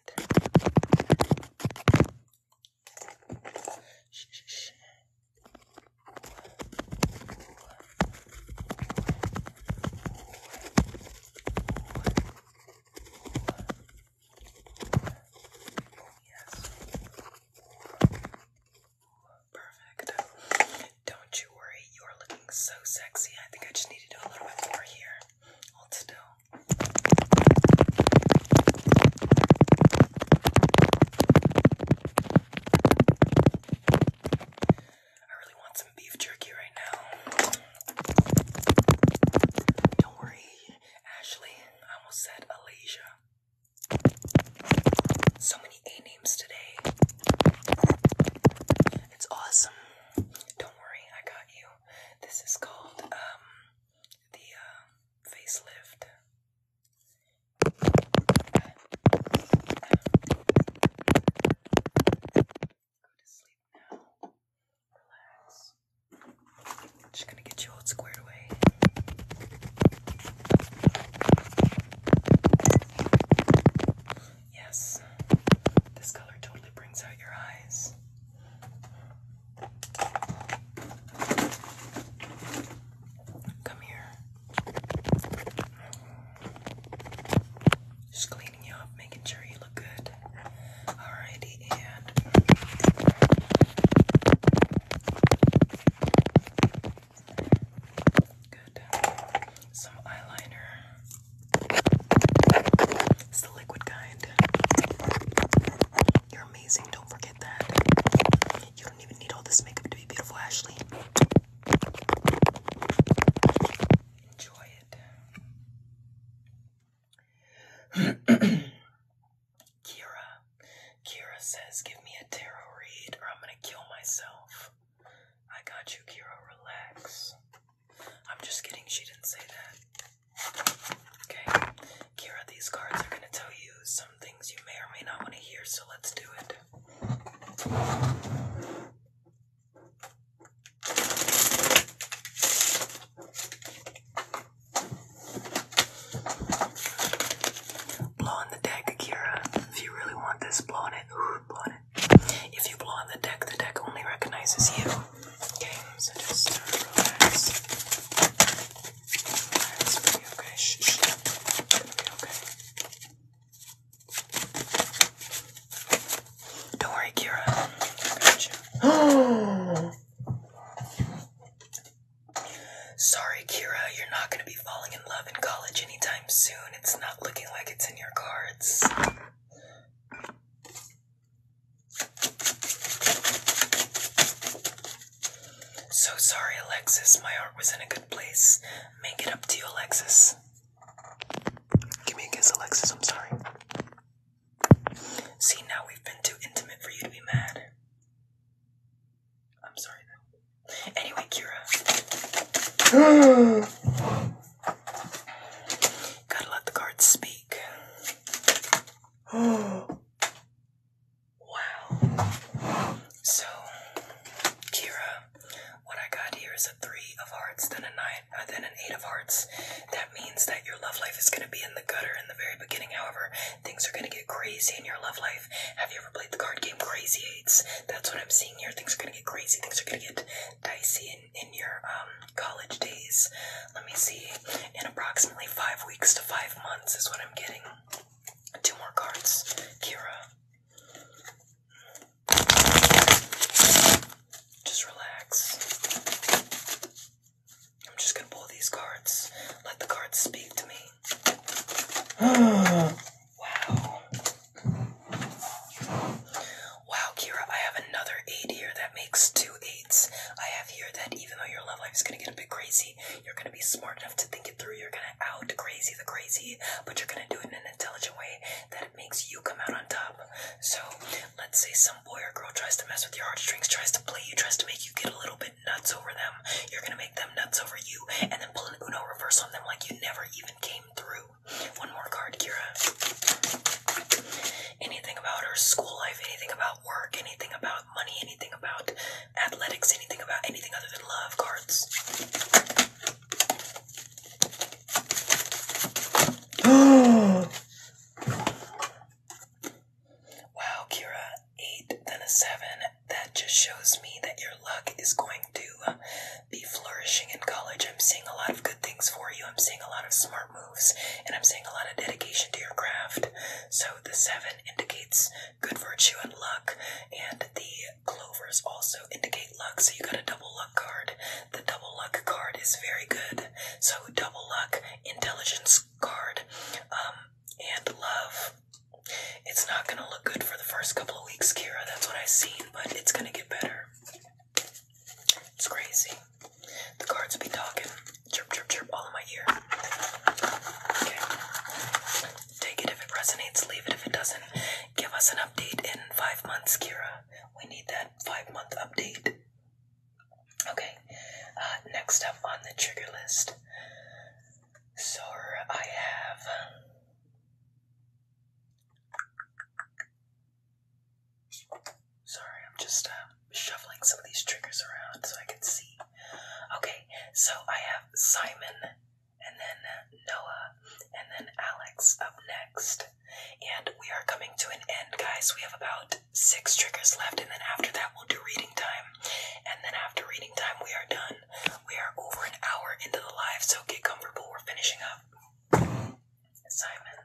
Don't you worry, you're looking so sexy. I think I just need to do a little bit more here. Hold still. I really want some beef jerky right now. Don't worry, Ashley. I almost said Alasia. So many A names today. It's awesome. Don't worry, I got you. This is called um the uh, facelift. Go to sleep now. Relax. just gonna get you all squared away. Yes, this color totally brings out your eyes. Come here. Just cleaning you up, making sure you look good. Alrighty, and good. Some eyeliner. It's the liquid kind. You're amazing. Don't forget that. You don't even need all this makeup to be beautiful, Ashley. Enjoy it. *clears throat* Kira. Kira says, give me a tarot read or I'm gonna kill myself. I got you, Kira. Relax. I'm just kidding, she didn't say that. Okay, Kira, these cards are gonna tell you some things you may or may not want to hear, so let's do it. Blow the deck, Akira. If you really want this, blow on it. Ooh, blow on it. If you blow on the deck, the deck only recognizes you. Okay, so just uh, relax. Don't worry, Kira. Oh. Sorry, Kira, you're not going to be falling in love in college anytime soon. It's not looking like it's in your cards. So sorry, Alexis. My heart was in a good place. Make it up to you, Alexis. Give me a kiss, Alexis. I'm sorry. See, now we've been too intimate for you to be mad. I'm sorry, Anyway, Kira. *gasps* Gotta let the cards speak. *sighs* wow. So, Kira, what I got here is a three of hearts, then a nine, uh, then an eight of hearts. That means that your love life is going to be in the gutter in the very beginning. However, things are going to get crazy in your love life. Have you ever played the card game Crazy Eights? That's what I'm seeing here. Things are going to get crazy. Things are going to get dicey in, in your um college days. Let me see. In approximately five weeks to five months is what I'm getting. Two more cards. Kira. Just relax. I'm just gonna pull these cards. Let the cards speak to me. *gasps* wow. Wow, Kira, I have another eight here. That makes two eights. I have here that even though your love life is gonna get a bit crazy, you're gonna be smart enough to think it through. You're gonna out the crazy the crazy, but you're gonna do it in an intelligent way that makes you come out on top. So let's say some boy or girl tries to mess with your heartstrings, tries to play you, tries to make you get a little bit nuts over them. You're gonna make them nuts over you, and then pull an Uno reverse on them like you never even came through. One more card, Kira anything about her school life, anything about work, anything about money, anything about athletics, anything about anything other than love cards. *gasps* wow, Kira, eight, then a seven. That just shows me that your luck is going to be flourishing in college. I'm seeing a lot of good things for you. I'm seeing a lot of smart moves, and I'm seeing a lot of dedication to your craft. So the seven indicates good virtue and luck, and the clovers also indicate luck. So you got a double luck card. The double luck card is very good. So double luck, intelligence card, um, and love. It's not gonna look good for the first couple of weeks, Kira. That's what I've seen, but it's gonna get better. It's crazy. The cards will be talking. Chirp, chirp, chirp, all in my ear. Okay. Take it if it resonates, leave it if it doesn't. Give us an update in five months, Kira. We need that five month update. Okay. Uh, next up on the trigger list. So I have. Sorry, I'm just uh, shuffling some of these triggers around so I can see. Okay, so I have Simon, and then Noah, and then Alex up next. And we are coming to an end, guys. We have about six triggers left, and then after that, we'll do reading time. And then after reading time, we are done. We are over an hour into the live, so get comfortable. We're finishing up. Simon.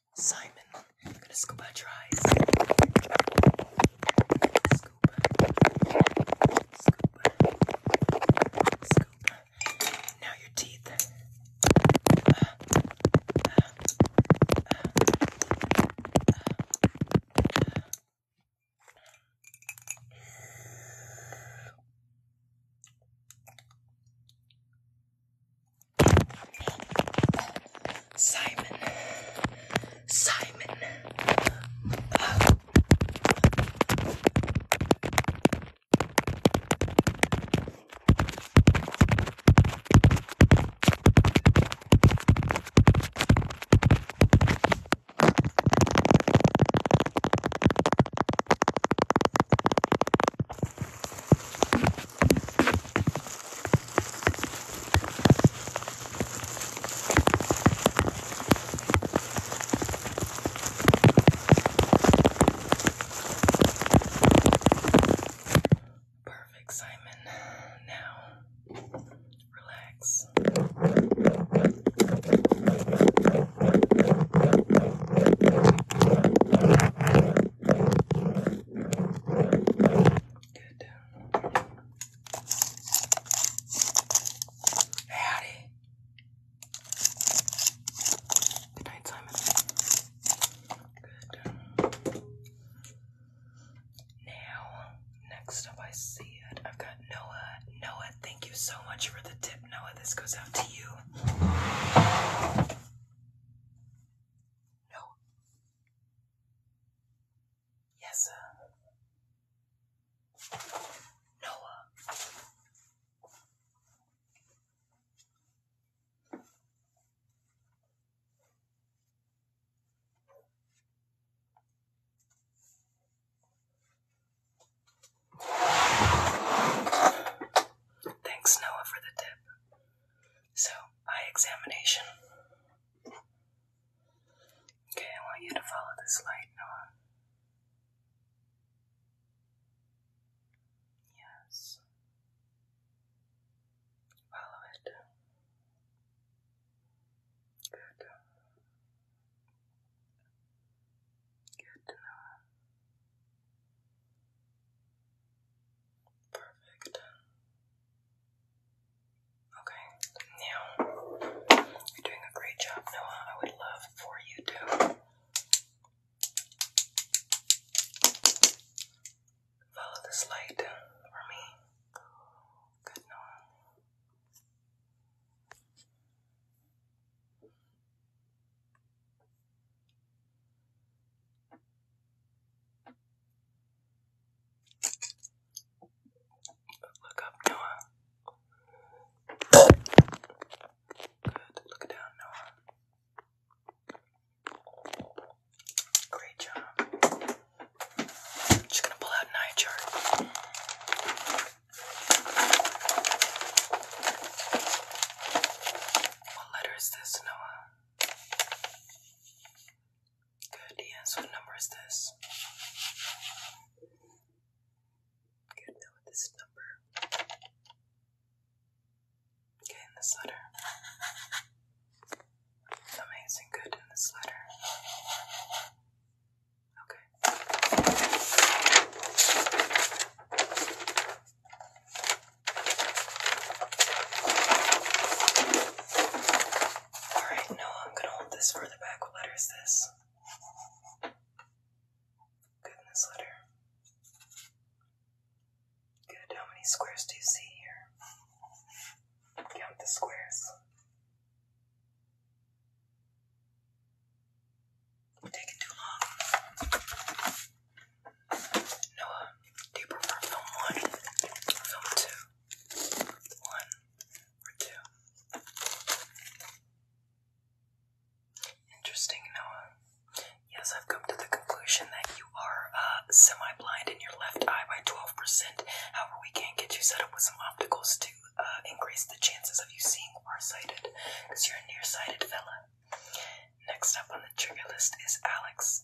Simon, I'm gonna scoop out eyes. Now your teeth. Simon, Simon. Perfect, Simon. Now, relax. Good. Howdy. Good Now, next up, I see it. I've got Noah. Noah, thank you so much for the tip, Noah. This goes out to you. No. Yes, sir. Noah. Thanks, Noah, for the tip. So, eye examination. Okay, I want you to follow this light, Noah. Yes. Follow it. Good. Good, Noah. Perfect. Okay, now you're doing a great job, Noah. I would love for you to follow this light for me. Good, Noah. Look up, Noah. Good. Look down, Noah. Great job. just gonna pull out an eye chart. What letter is this, Noah? Good, yes. What number is this? Good, with this number. Okay, in this letter. Amazing, good in this letter. Okay. Alright, no, I'm gonna hold this further back. What letter is this? Good letter. Good. How many squares do you see here? Count the squares. taking too long. Noah, do you prefer film one film two? one or two. Interesting, Noah. Yes, I've come to the conclusion that you are uh, semi-blind in your left eye by 12%. However, we can get you set up with some opticals to uh, increase the chances of you seeing far-sighted, because you're a sighted fella. Next up on the trigger list is Alex.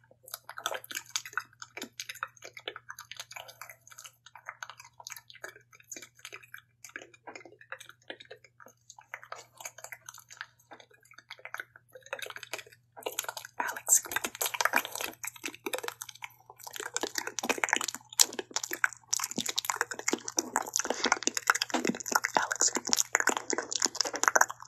Alex. Alex.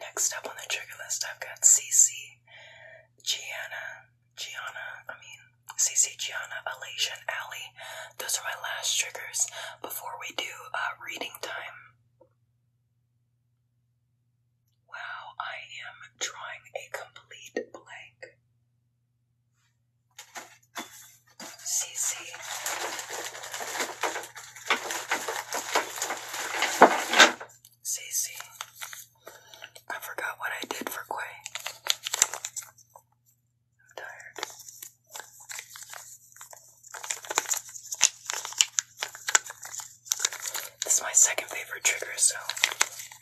Next up on the trigger list, I've got Cece, Gianna, Gianna, I mean, Cece, Gianna, Alasia, and Allie. Those are my last triggers before we do uh, reading time. Wow, I am drawing a complete blank. CC. forgot what I did for Quay. I'm tired. This is my second favorite trigger, so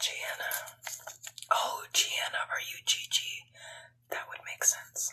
Gianna. Oh, Gianna, are you Gigi? That would make sense.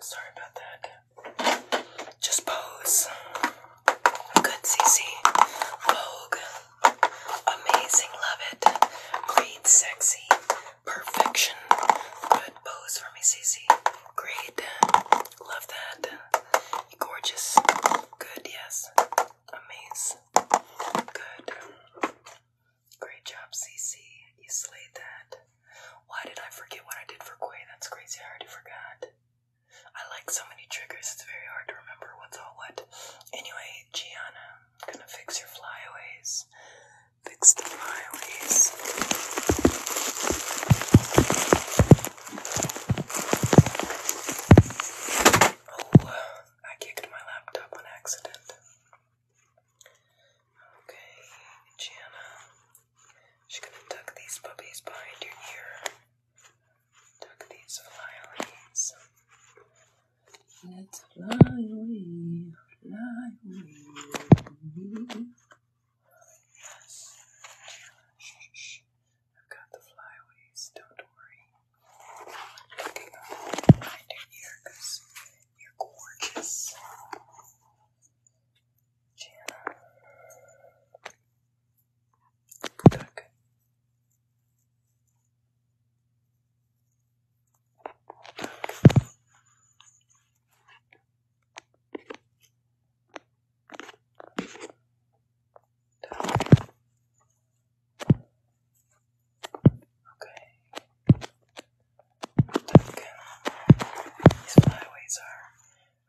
Sorry about that. Just pose. Good, CC. Vogue. Amazing, love it. Great, sexy. Perfection. Good pose for me, CC. Great. Love that. Gorgeous. Good, yes. Amazing. Good. Great job, CC. You slayed that. Why did I forget what I did for Quay? That's crazy, I already forgot. I like so many triggers, it's very hard to remember what's all what. Anyway, Gianna, I'm gonna fix your flyaways. Fix the flyaways. Oh, I kicked my laptop on accident. Okay, Gianna, She's gonna tuck these puppies behind your ear. Tuck these flyaways. Let's fly Shh, shh. I've got the flyaways. Don't worry. behind your ear you're gorgeous. Gianna. Duck. Okay. These flyaways are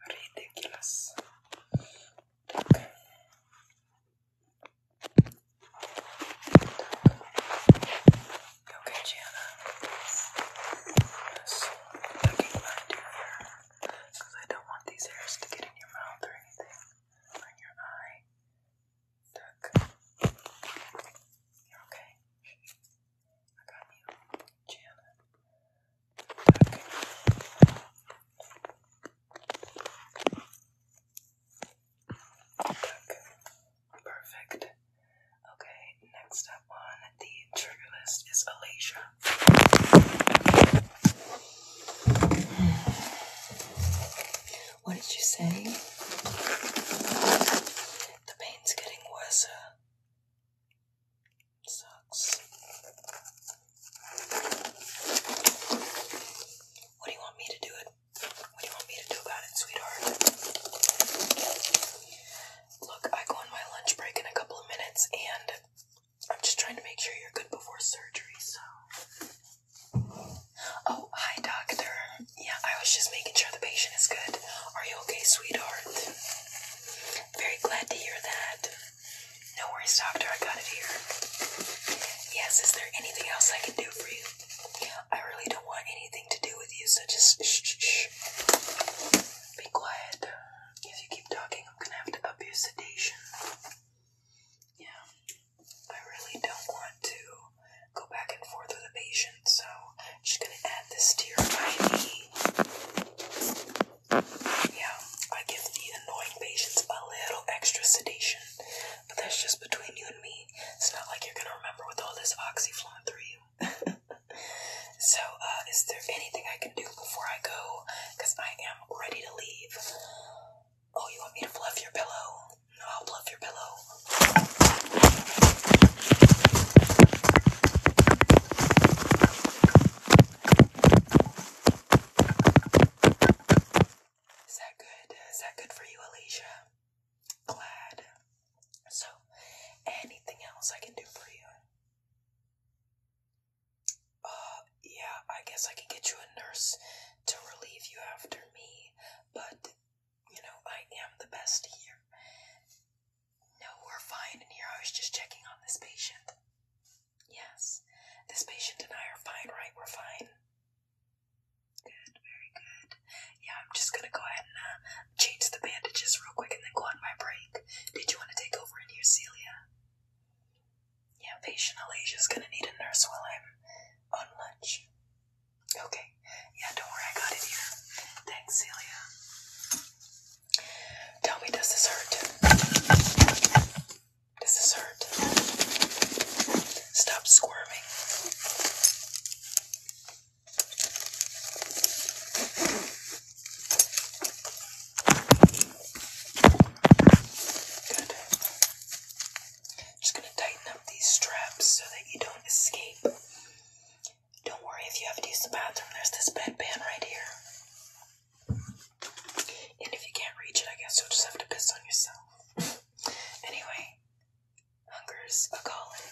ridiculous. Duck. Okay, Gianna. Yes, hair because I don't want these hairs to get in your mouth or anything or in your eye. okay. Perfect. Okay, next up on the trigger list is Alasia. What did you say? The pain's getting worse. Sucks. What do you want me to do it? What do you want me to do about it, sweetheart? Look, I go on my lunch break in a couple of minutes and I'm just trying to make sure you're good before surgery, so. Oh, hi, doctor. Yeah, I was just making sure the patient is good. Are you okay, sweetheart? Very glad to hear that. No worries, doctor. I got it here. Yes, is there anything else I can do for you? I really don't want anything to do with you, so just shh, shh, shh. Be quiet. If you keep talking, I'm gonna have to up your sedation. Yeah, I really don't want to go back and forth with a patient, so I'm just gonna add this to your eye. Yeah, I give the annoying patients a little extra sedation, but that's just between you and me. It's not like you're gonna remember with all this oxy flowing through you. *laughs* so, uh, is there anything I can do before I go? Because I am ready to leave. Oh, you want me to fluff your pillow? No, I'll fluff your pillow. Is that good? Is that good for you, Alicia? Glad. So, anything else I can do for you? Uh, yeah, I guess I can get you a nurse to relieve you after me, but you know, I am the best here. No, we're fine in here. I was just checking on this patient. Yes, this patient and I are fine, right? We're fine. Good, very good. Yeah, I'm just gonna go ahead and uh, change the bandages real quick and then go on my break. Did you want to take over in here, Celia? Yeah, patient Alasia's gonna need a nurse while I'm on lunch. Okay. Yeah, don't worry, I got it here. Thanks, Celia. Tell me, does this hurt? Does this hurt? Stop squirming. Good. Just going to tighten up these straps so that you don't escape. Don't worry if you have to use the bathroom, there's this bedpan right here. And if you can't reach it, I guess you'll just have to piss on yourself. *laughs* anyway, hunger's a calling.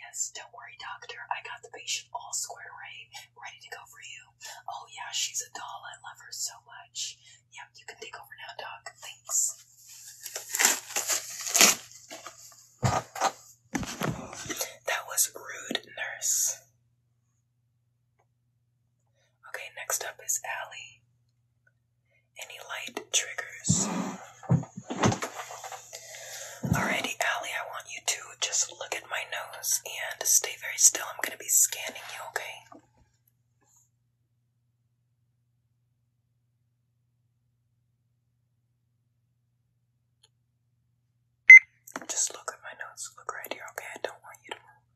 Yes, don't worry, doctor. I got the patient all squared away, ready to go for you. Oh, yeah, she's a doll. I love her so much. Yep. you can take over now, doc. Thanks. That was Rude Nurse. Okay, next up is Allie. Any light triggers? Alrighty, Allie, I want you to just look at my nose and stay very still. I'm going to be scanning you, okay? Just look at my notes. Look right here, okay? I don't want you to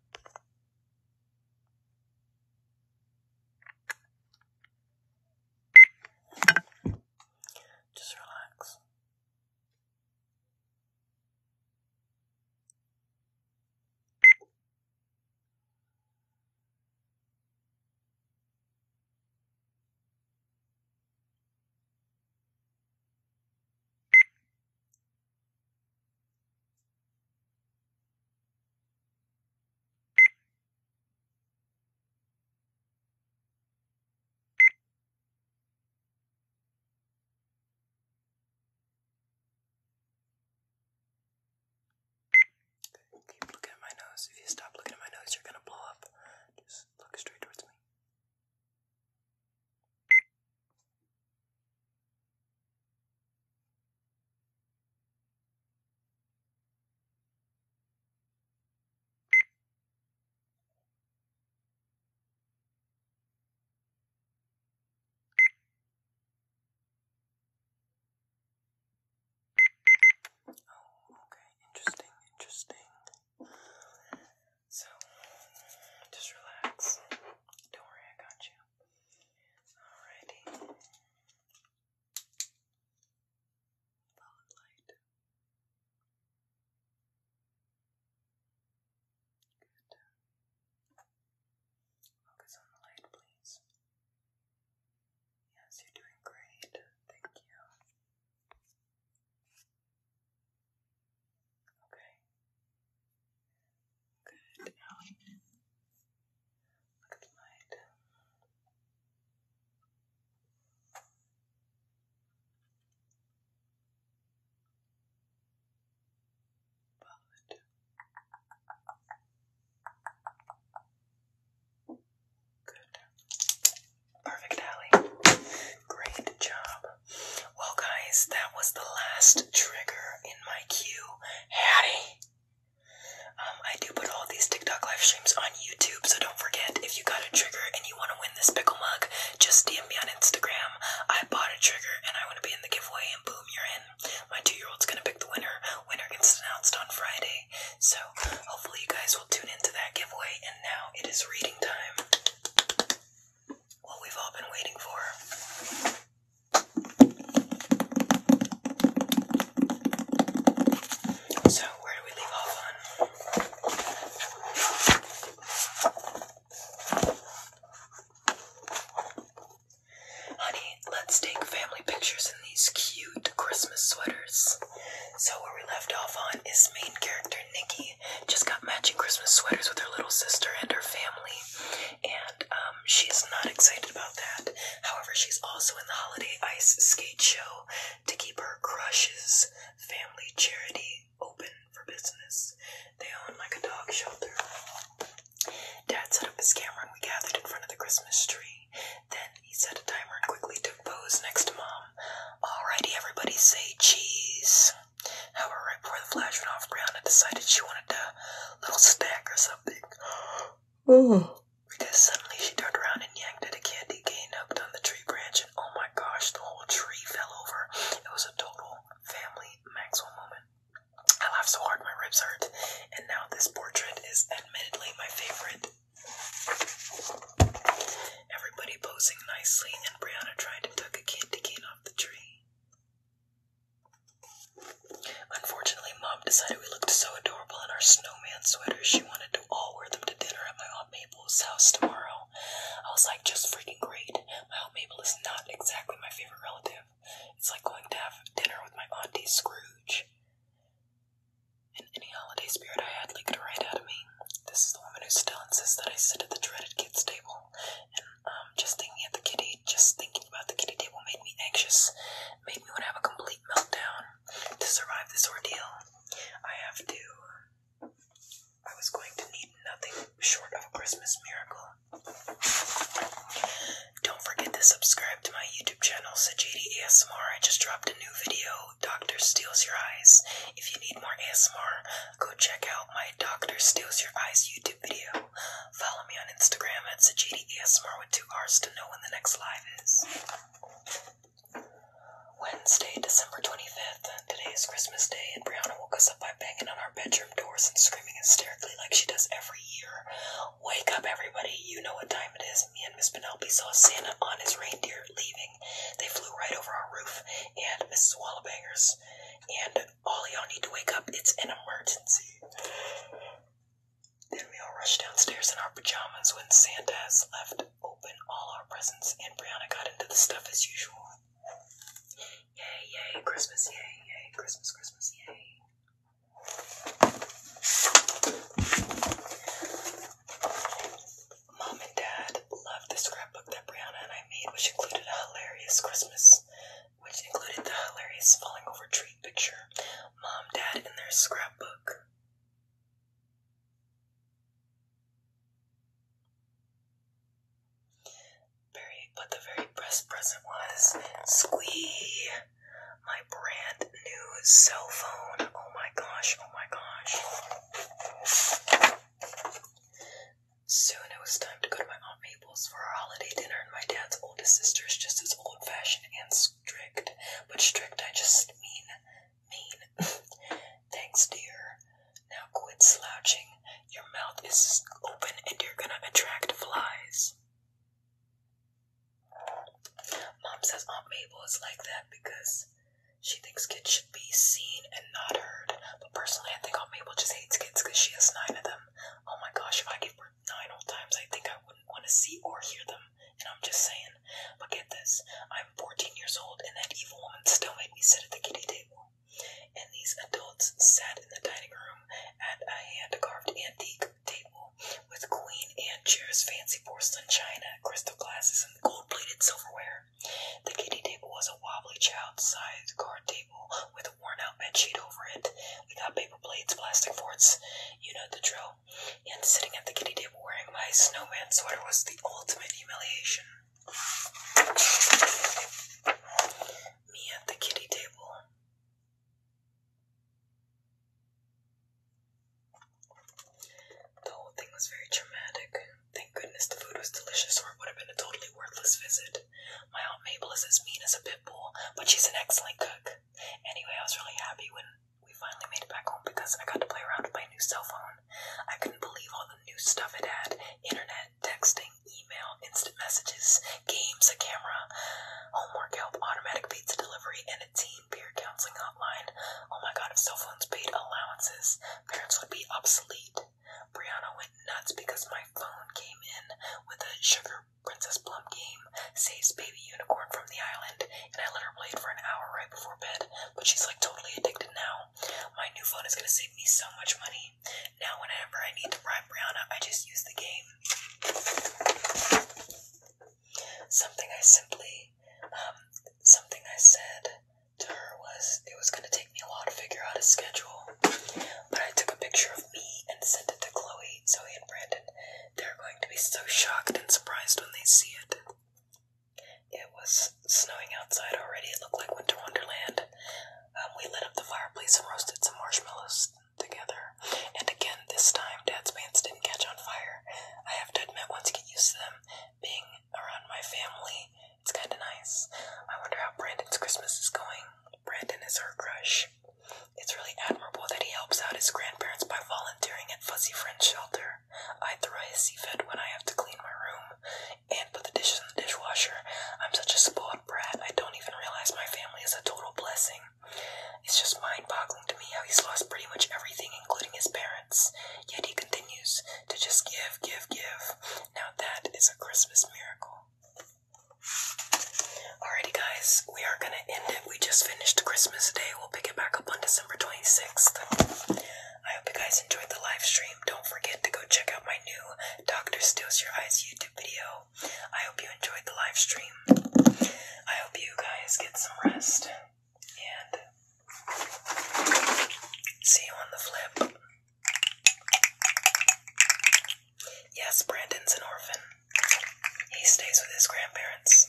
move. Just relax. Keep looking at my nose. If you stop looking at my nose, you're gonna blow up. Just eyes look straight towards me. Oh, okay. Interesting, interesting. So, just relax. Don't worry, I got you. Alrighty. Follow Focus on the light, please. Yes, you're doing great. Thank you. Okay. Good. look at the light. Follow Good. Perfect, Allie. Great job. Well, guys, that was the last trigger in my queue. Hattie! Um, I do put all these TikTok live streams on YouTube, so don't forget if you got a trigger and you want to win this pickle mug, just DM me on Instagram. I bought a trigger and I want to be in the giveaway, and boom, you're in. My two year old's going to pick the winner. Winner gets announced on Friday. So hopefully you guys will tune into that giveaway. And now it is reading time. What we've all been waiting for. So, where do we leave off on? Honey, let's take family pictures in these cute Christmas sweaters. So where we left off on is main character Nikki just got matching Christmas sweaters with her little sister and her family, and um, she's not excited about that. However, she's also in the holiday ice skate show to keep her crush's family charity open for business. They own like a dog shelter. Dad set up his camera and we gathered in front of the Christmas tree. Then he set a timer and quickly took pose next to Mom. Alrighty, everybody say cheese. However, before the flash went off, Brianna decided she wanted a little snack or something. *gasps* Because suddenly she turned around and yanked at a candy cane hooked on the tree branch, and oh my gosh, the whole tree fell over. It was a total family Maxwell moment. I laughed so hard my ribs hurt, and now this portrait is admittedly my favorite Everybody posing nicely, and Brianna tried to tuck a candy cane off the tree. Unfortunately, Mom decided we looked so adorable in our snowman sweaters, she wanted to all wear them to dinner at my Aunt Mabel's house tomorrow. I was like, just freaking great. My Aunt Mabel is not exactly my favorite relative. It's like going to have dinner with my Auntie Scrooge and any holiday spirit I had leaked right out of me. This is the woman who still insists that I sit at the dreaded kids' table, and um, just thinking at the kiddie, just thinking about the kiddie table made me anxious, made me want to have a complete meltdown. To survive this ordeal, I have to. I was going to need nothing short of a Christmas miracle. Don't forget to subscribe to my YouTube channel, Sajidi ASMR. I just dropped a new video Doctor Steals Your Eyes. If you need more ASMR, go check out my Doctor Steals Your Eyes YouTube video. Follow me on Instagram at Sajidi ASMR with two R's to know when the next live is. Wednesday, December 25th. Today is Christmas Day, and Brianna woke us up by banging on our bedroom doors and screaming hysterically like she does every year. Wake up, everybody. You know what time it is. Me and Miss Penelope saw Santa on his reindeer leaving they flew right over our roof, and Mrs. Wallabangers and all y'all need to wake up. It's an emergency. Then we all rushed downstairs in our pajamas when Santa has left open all our presents, and Brianna got into the stuff as usual. Yay, yay, Christmas, yay, yay, Christmas, Christmas, yay. Mom and Dad loved the scrapbook that Brianna and I made, which included a hilarious Christmas, which included the hilarious falling over tree picture. Mom, Dad, and their scrapbook. Very, but the very best present was Squee, my brand new cell phone. Oh my gosh! Oh my gosh! Soon it was time to go to my Aunt Mabel's for our holiday dinner, and my dad's oldest sister is just as old fashioned and strict. But strict, I just mean, mean. *laughs* Thanks, dear. Now quit slouching. Your mouth is open and you're gonna attract flies. Mom says Aunt Mabel is like that because she thinks kids should be seen and not heard, but personally, I think Aunt Mabel just hates kids because she has nine of them. Oh my gosh, if I gave birth nine old times, I think I wouldn't want to see or hear them. And I'm just saying, but get this I'm 14 years old, and that evil woman still made me sit at the kiddie table. And these adults sat in the dining room at a hand carved antique table with queen and chairs, fancy porcelain china, crystal glasses, and gold plated silverware. The kitty table was a wobbly child sized card table with a worn out bed sheet over it. We got paper plates, plastic forks. you know the drill. And sitting at the kitty table wearing my snowman sweater was the ultimate humiliation. Me at the kitty table. The whole thing was very traumatic. Thank goodness the food was delicious, or it would have been a totally worthless visit. My Aunt Mabel is as mean as a pit bull, but she's an excellent cook. Anyway, I was really happy when we finally made it back home because I got to play around with my new cell phone. I couldn't believe all the new stuff it had internet, texting, email, instant messages, games, a camera, homework help, automatic pizza delivery, and teen peer counseling hotline. Oh my god, if cell phones paid allowances, parents would be obsolete. Brianna went nuts because my phone came in with a Sugar Princess Plump game, saves baby unicorn from the island, and I let her play for an hour right before bed, but she's like totally addicted now. My new phone is gonna save me so much money. Now, whenever I need to bribe Brianna, I just use the game. Something I simply um, something I said to her was it was going to take me a while to figure out a schedule, but I took a picture of me and sent it to Chloe, Zoe, and Brandon. They're going to be so shocked and surprised when they see it. It was snowing outside already. It looked like Winter Wonderland. Um, we lit up the fireplace and roasted some marshmallows together. And again, this time, Dad's pants didn't catch on fire. I have to admit, once you get used to them being around my family. It's kind of nice. I wonder how Brandon's Christmas is going. Brandon is her crush. It's really admirable that he helps out his grandparents by volunteering at Fuzzy Friend's shelter. I throw a sea fed when I have to clean my room and put the dishes in the dishwasher. I'm such a spoiled brat, I don't even realize my family is a total blessing. It's just mind boggling to me how he's lost pretty much everything, including his parents. Yet he continues to just give, give, give. Now that is a Christmas miracle. Alrighty, guys, we are gonna end it. We just finished Christmas Day. We'll pick it back up on December 26th. I hope you guys enjoyed the live stream. Don't forget to go check out my new Doctor Steals Your Eyes YouTube video. I hope you enjoyed the live stream. I hope you guys get some rest see you on the flip. Yes, Brandon's an orphan. He stays with his grandparents.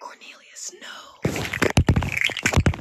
Cornelius, no.